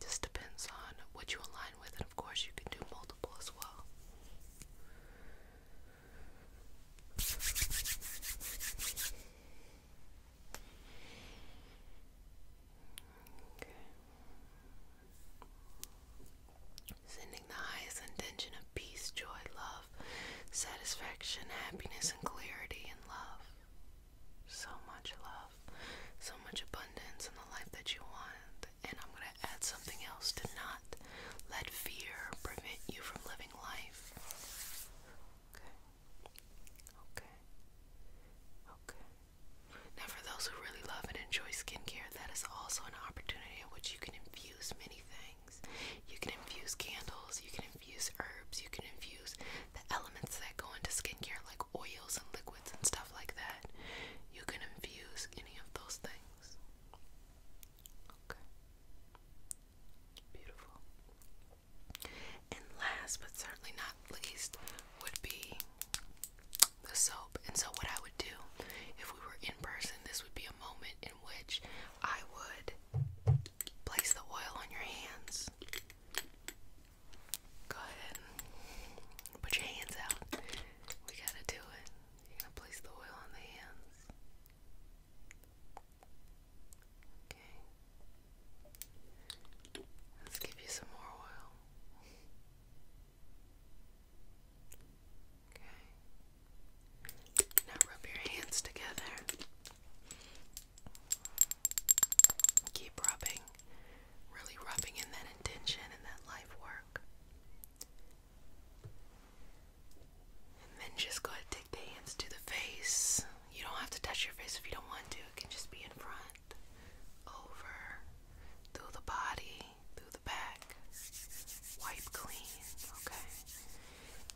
Just depends on what you align with, and of course, you can do multiple as well. Sending the highest intention of peace, joy, love, satisfaction, happiness, and clarity in love. So much love, so much abundance in the life that you want. And I'm going to add something else to let fear prevent you from living life. Okay. Okay. Okay. Now, for those who really love and enjoy skincare, that is also an opportunity in which you can infuse many things. You can infuse candles, you can infuse herbs, you can infuse the elements that go into skincare, like oils and liquids and stuff like that. You can infuse any of those things. Okay. Beautiful. And last but certainly not least would be the soap. And so, what I would do if we were in person, this would be a moment in which I would place the oil on your hands. Go ahead and put your hands out. We gotta do it. You're gonna place the oil on the hands. Okay. Let's give you some more oil. Okay. Now rub your hands together. Keep rubbing, really rubbing in that intention and that life work. And then just go and take the hands to the face. You don't have to touch your face if you don't want to. It can just be in front, over, through the body, through the back. Wipe clean, okay?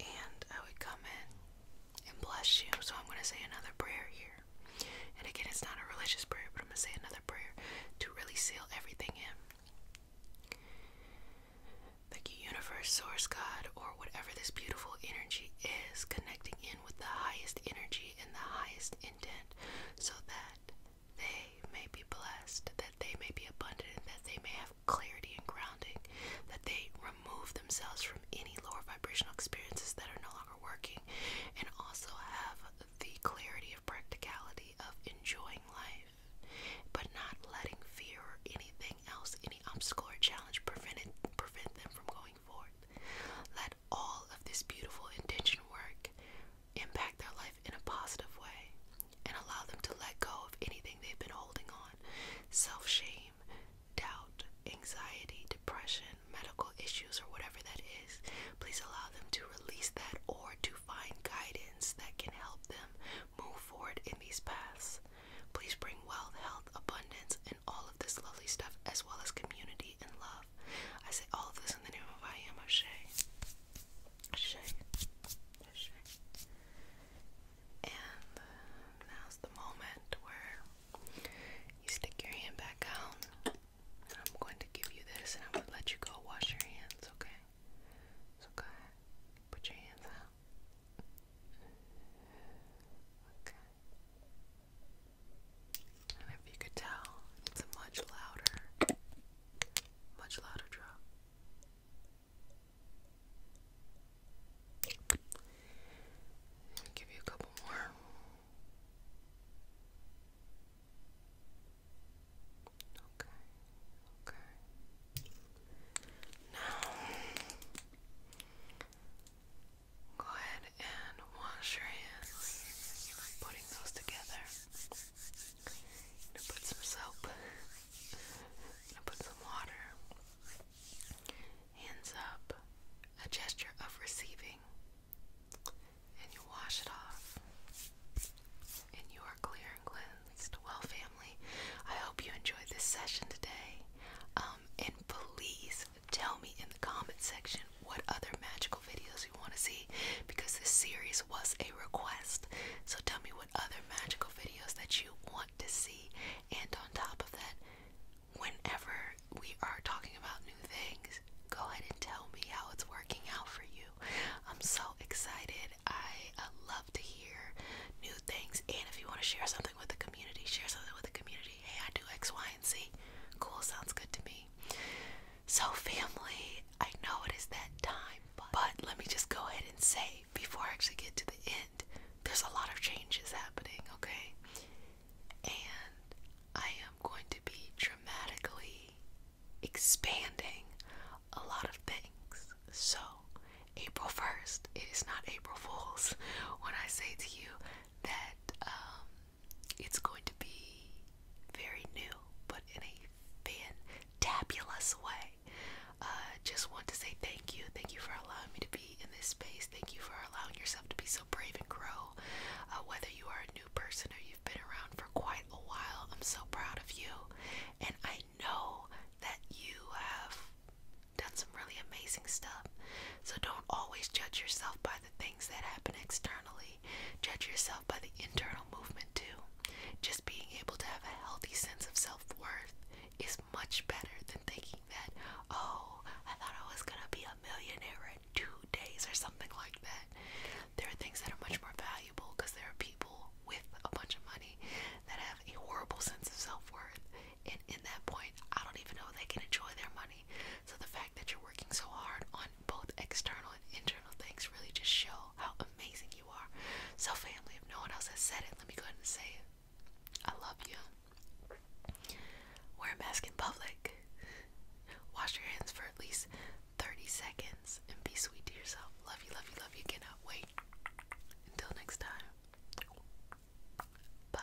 And I would come in and bless you. So I'm going to say another prayer here. And again, it's not a religious prayer, but I'm going to say another prayer to really seal everything in. The universe, source, God, or whatever this beautiful energy is, connecting in with the highest energy and the highest intent so that they may be blessed, that they may be abundant, that they may have clarity and grounding, that they remove themselves from any lower vibrational experiences that are no longer working, and also have the clarity of practicality of enjoying life but not letting fear or anything else, any obstacle or challenge, prevent it, prevent them from going forth. Let all of this beautiful intention work impact their life in a positive way and allow them to let go of anything they've been holding on self shame, doubt, anxiety, depression, medical issues, or whatever that is. Please allow them to release that or to find guidance that can help them move forward in these paths. Please bring wealth, health, abundance, and all of this lovely stuff, as well as community and love. I say all of this in the name of I am Ashe. Ashe. Ashe. And uh, now's the moment where you stick your hand back out. And I'm going to give you this, and I'm going to let you go wash your hands, okay? So go ahead, put your hands out. Okay. And if you could tell, it's a much louder, much louder drop. give you a couple more. Okay, okay. Now, go ahead and wash your hands. putting those together. gonna put some soap. i gonna put some water. Hands up. A gesture of receiving. And you wash it off. And you are clear and clean. Stowell family. I hope you enjoyed this session today. Um, and please tell me in the comment section what other magical videos you want to see because this series was a request. So tell me what other magical videos that you want to see. And on top of that, whenever we are talking about new things, go ahead and tell me how it's working out for you. I'm so excited I uh, love to hear new things. And if you want to share something with the community, share something with the community. Hey, I do X, Y, and Z. Cool, sounds good to me. So, family, I know it is that time, but let me just go ahead and say before I actually get to the end, there's a lot of changes happening, okay? And I am going to be dramatically expanding a lot of things. So, April 1st, is not April Fool's when I say to you that um, it's going to be very new, but in a fantabulous way. I uh, just want to say thank you. Thank you for allowing me to be in this space. Thank you for allowing yourself to be so brave and grow. Uh, whether you are a new person or you've been around for quite a while, I'm so proud of you. And I I know that you have done some really amazing stuff. So don't always judge yourself by the things that happen externally. Judge yourself by the internal movement too. Just being able to have a healthy sense of self worth is much better than thinking that, oh, I thought I was gonna be a millionaire in two days or something like that. There are things that are much more valuable because there are people with a bunch of money that have a horrible sense of self worth. And in that point, I don't even know they can enjoy their money. So the fact that you're working so hard on both external and internal things really just show how amazing you are. So family, if no one else has said it, let me go ahead and say I love you. Wear a mask in public. Wash your hands for at least 30 seconds and be sweet to yourself. Love you, love you, love you. Cannot wait. Until next time, bye.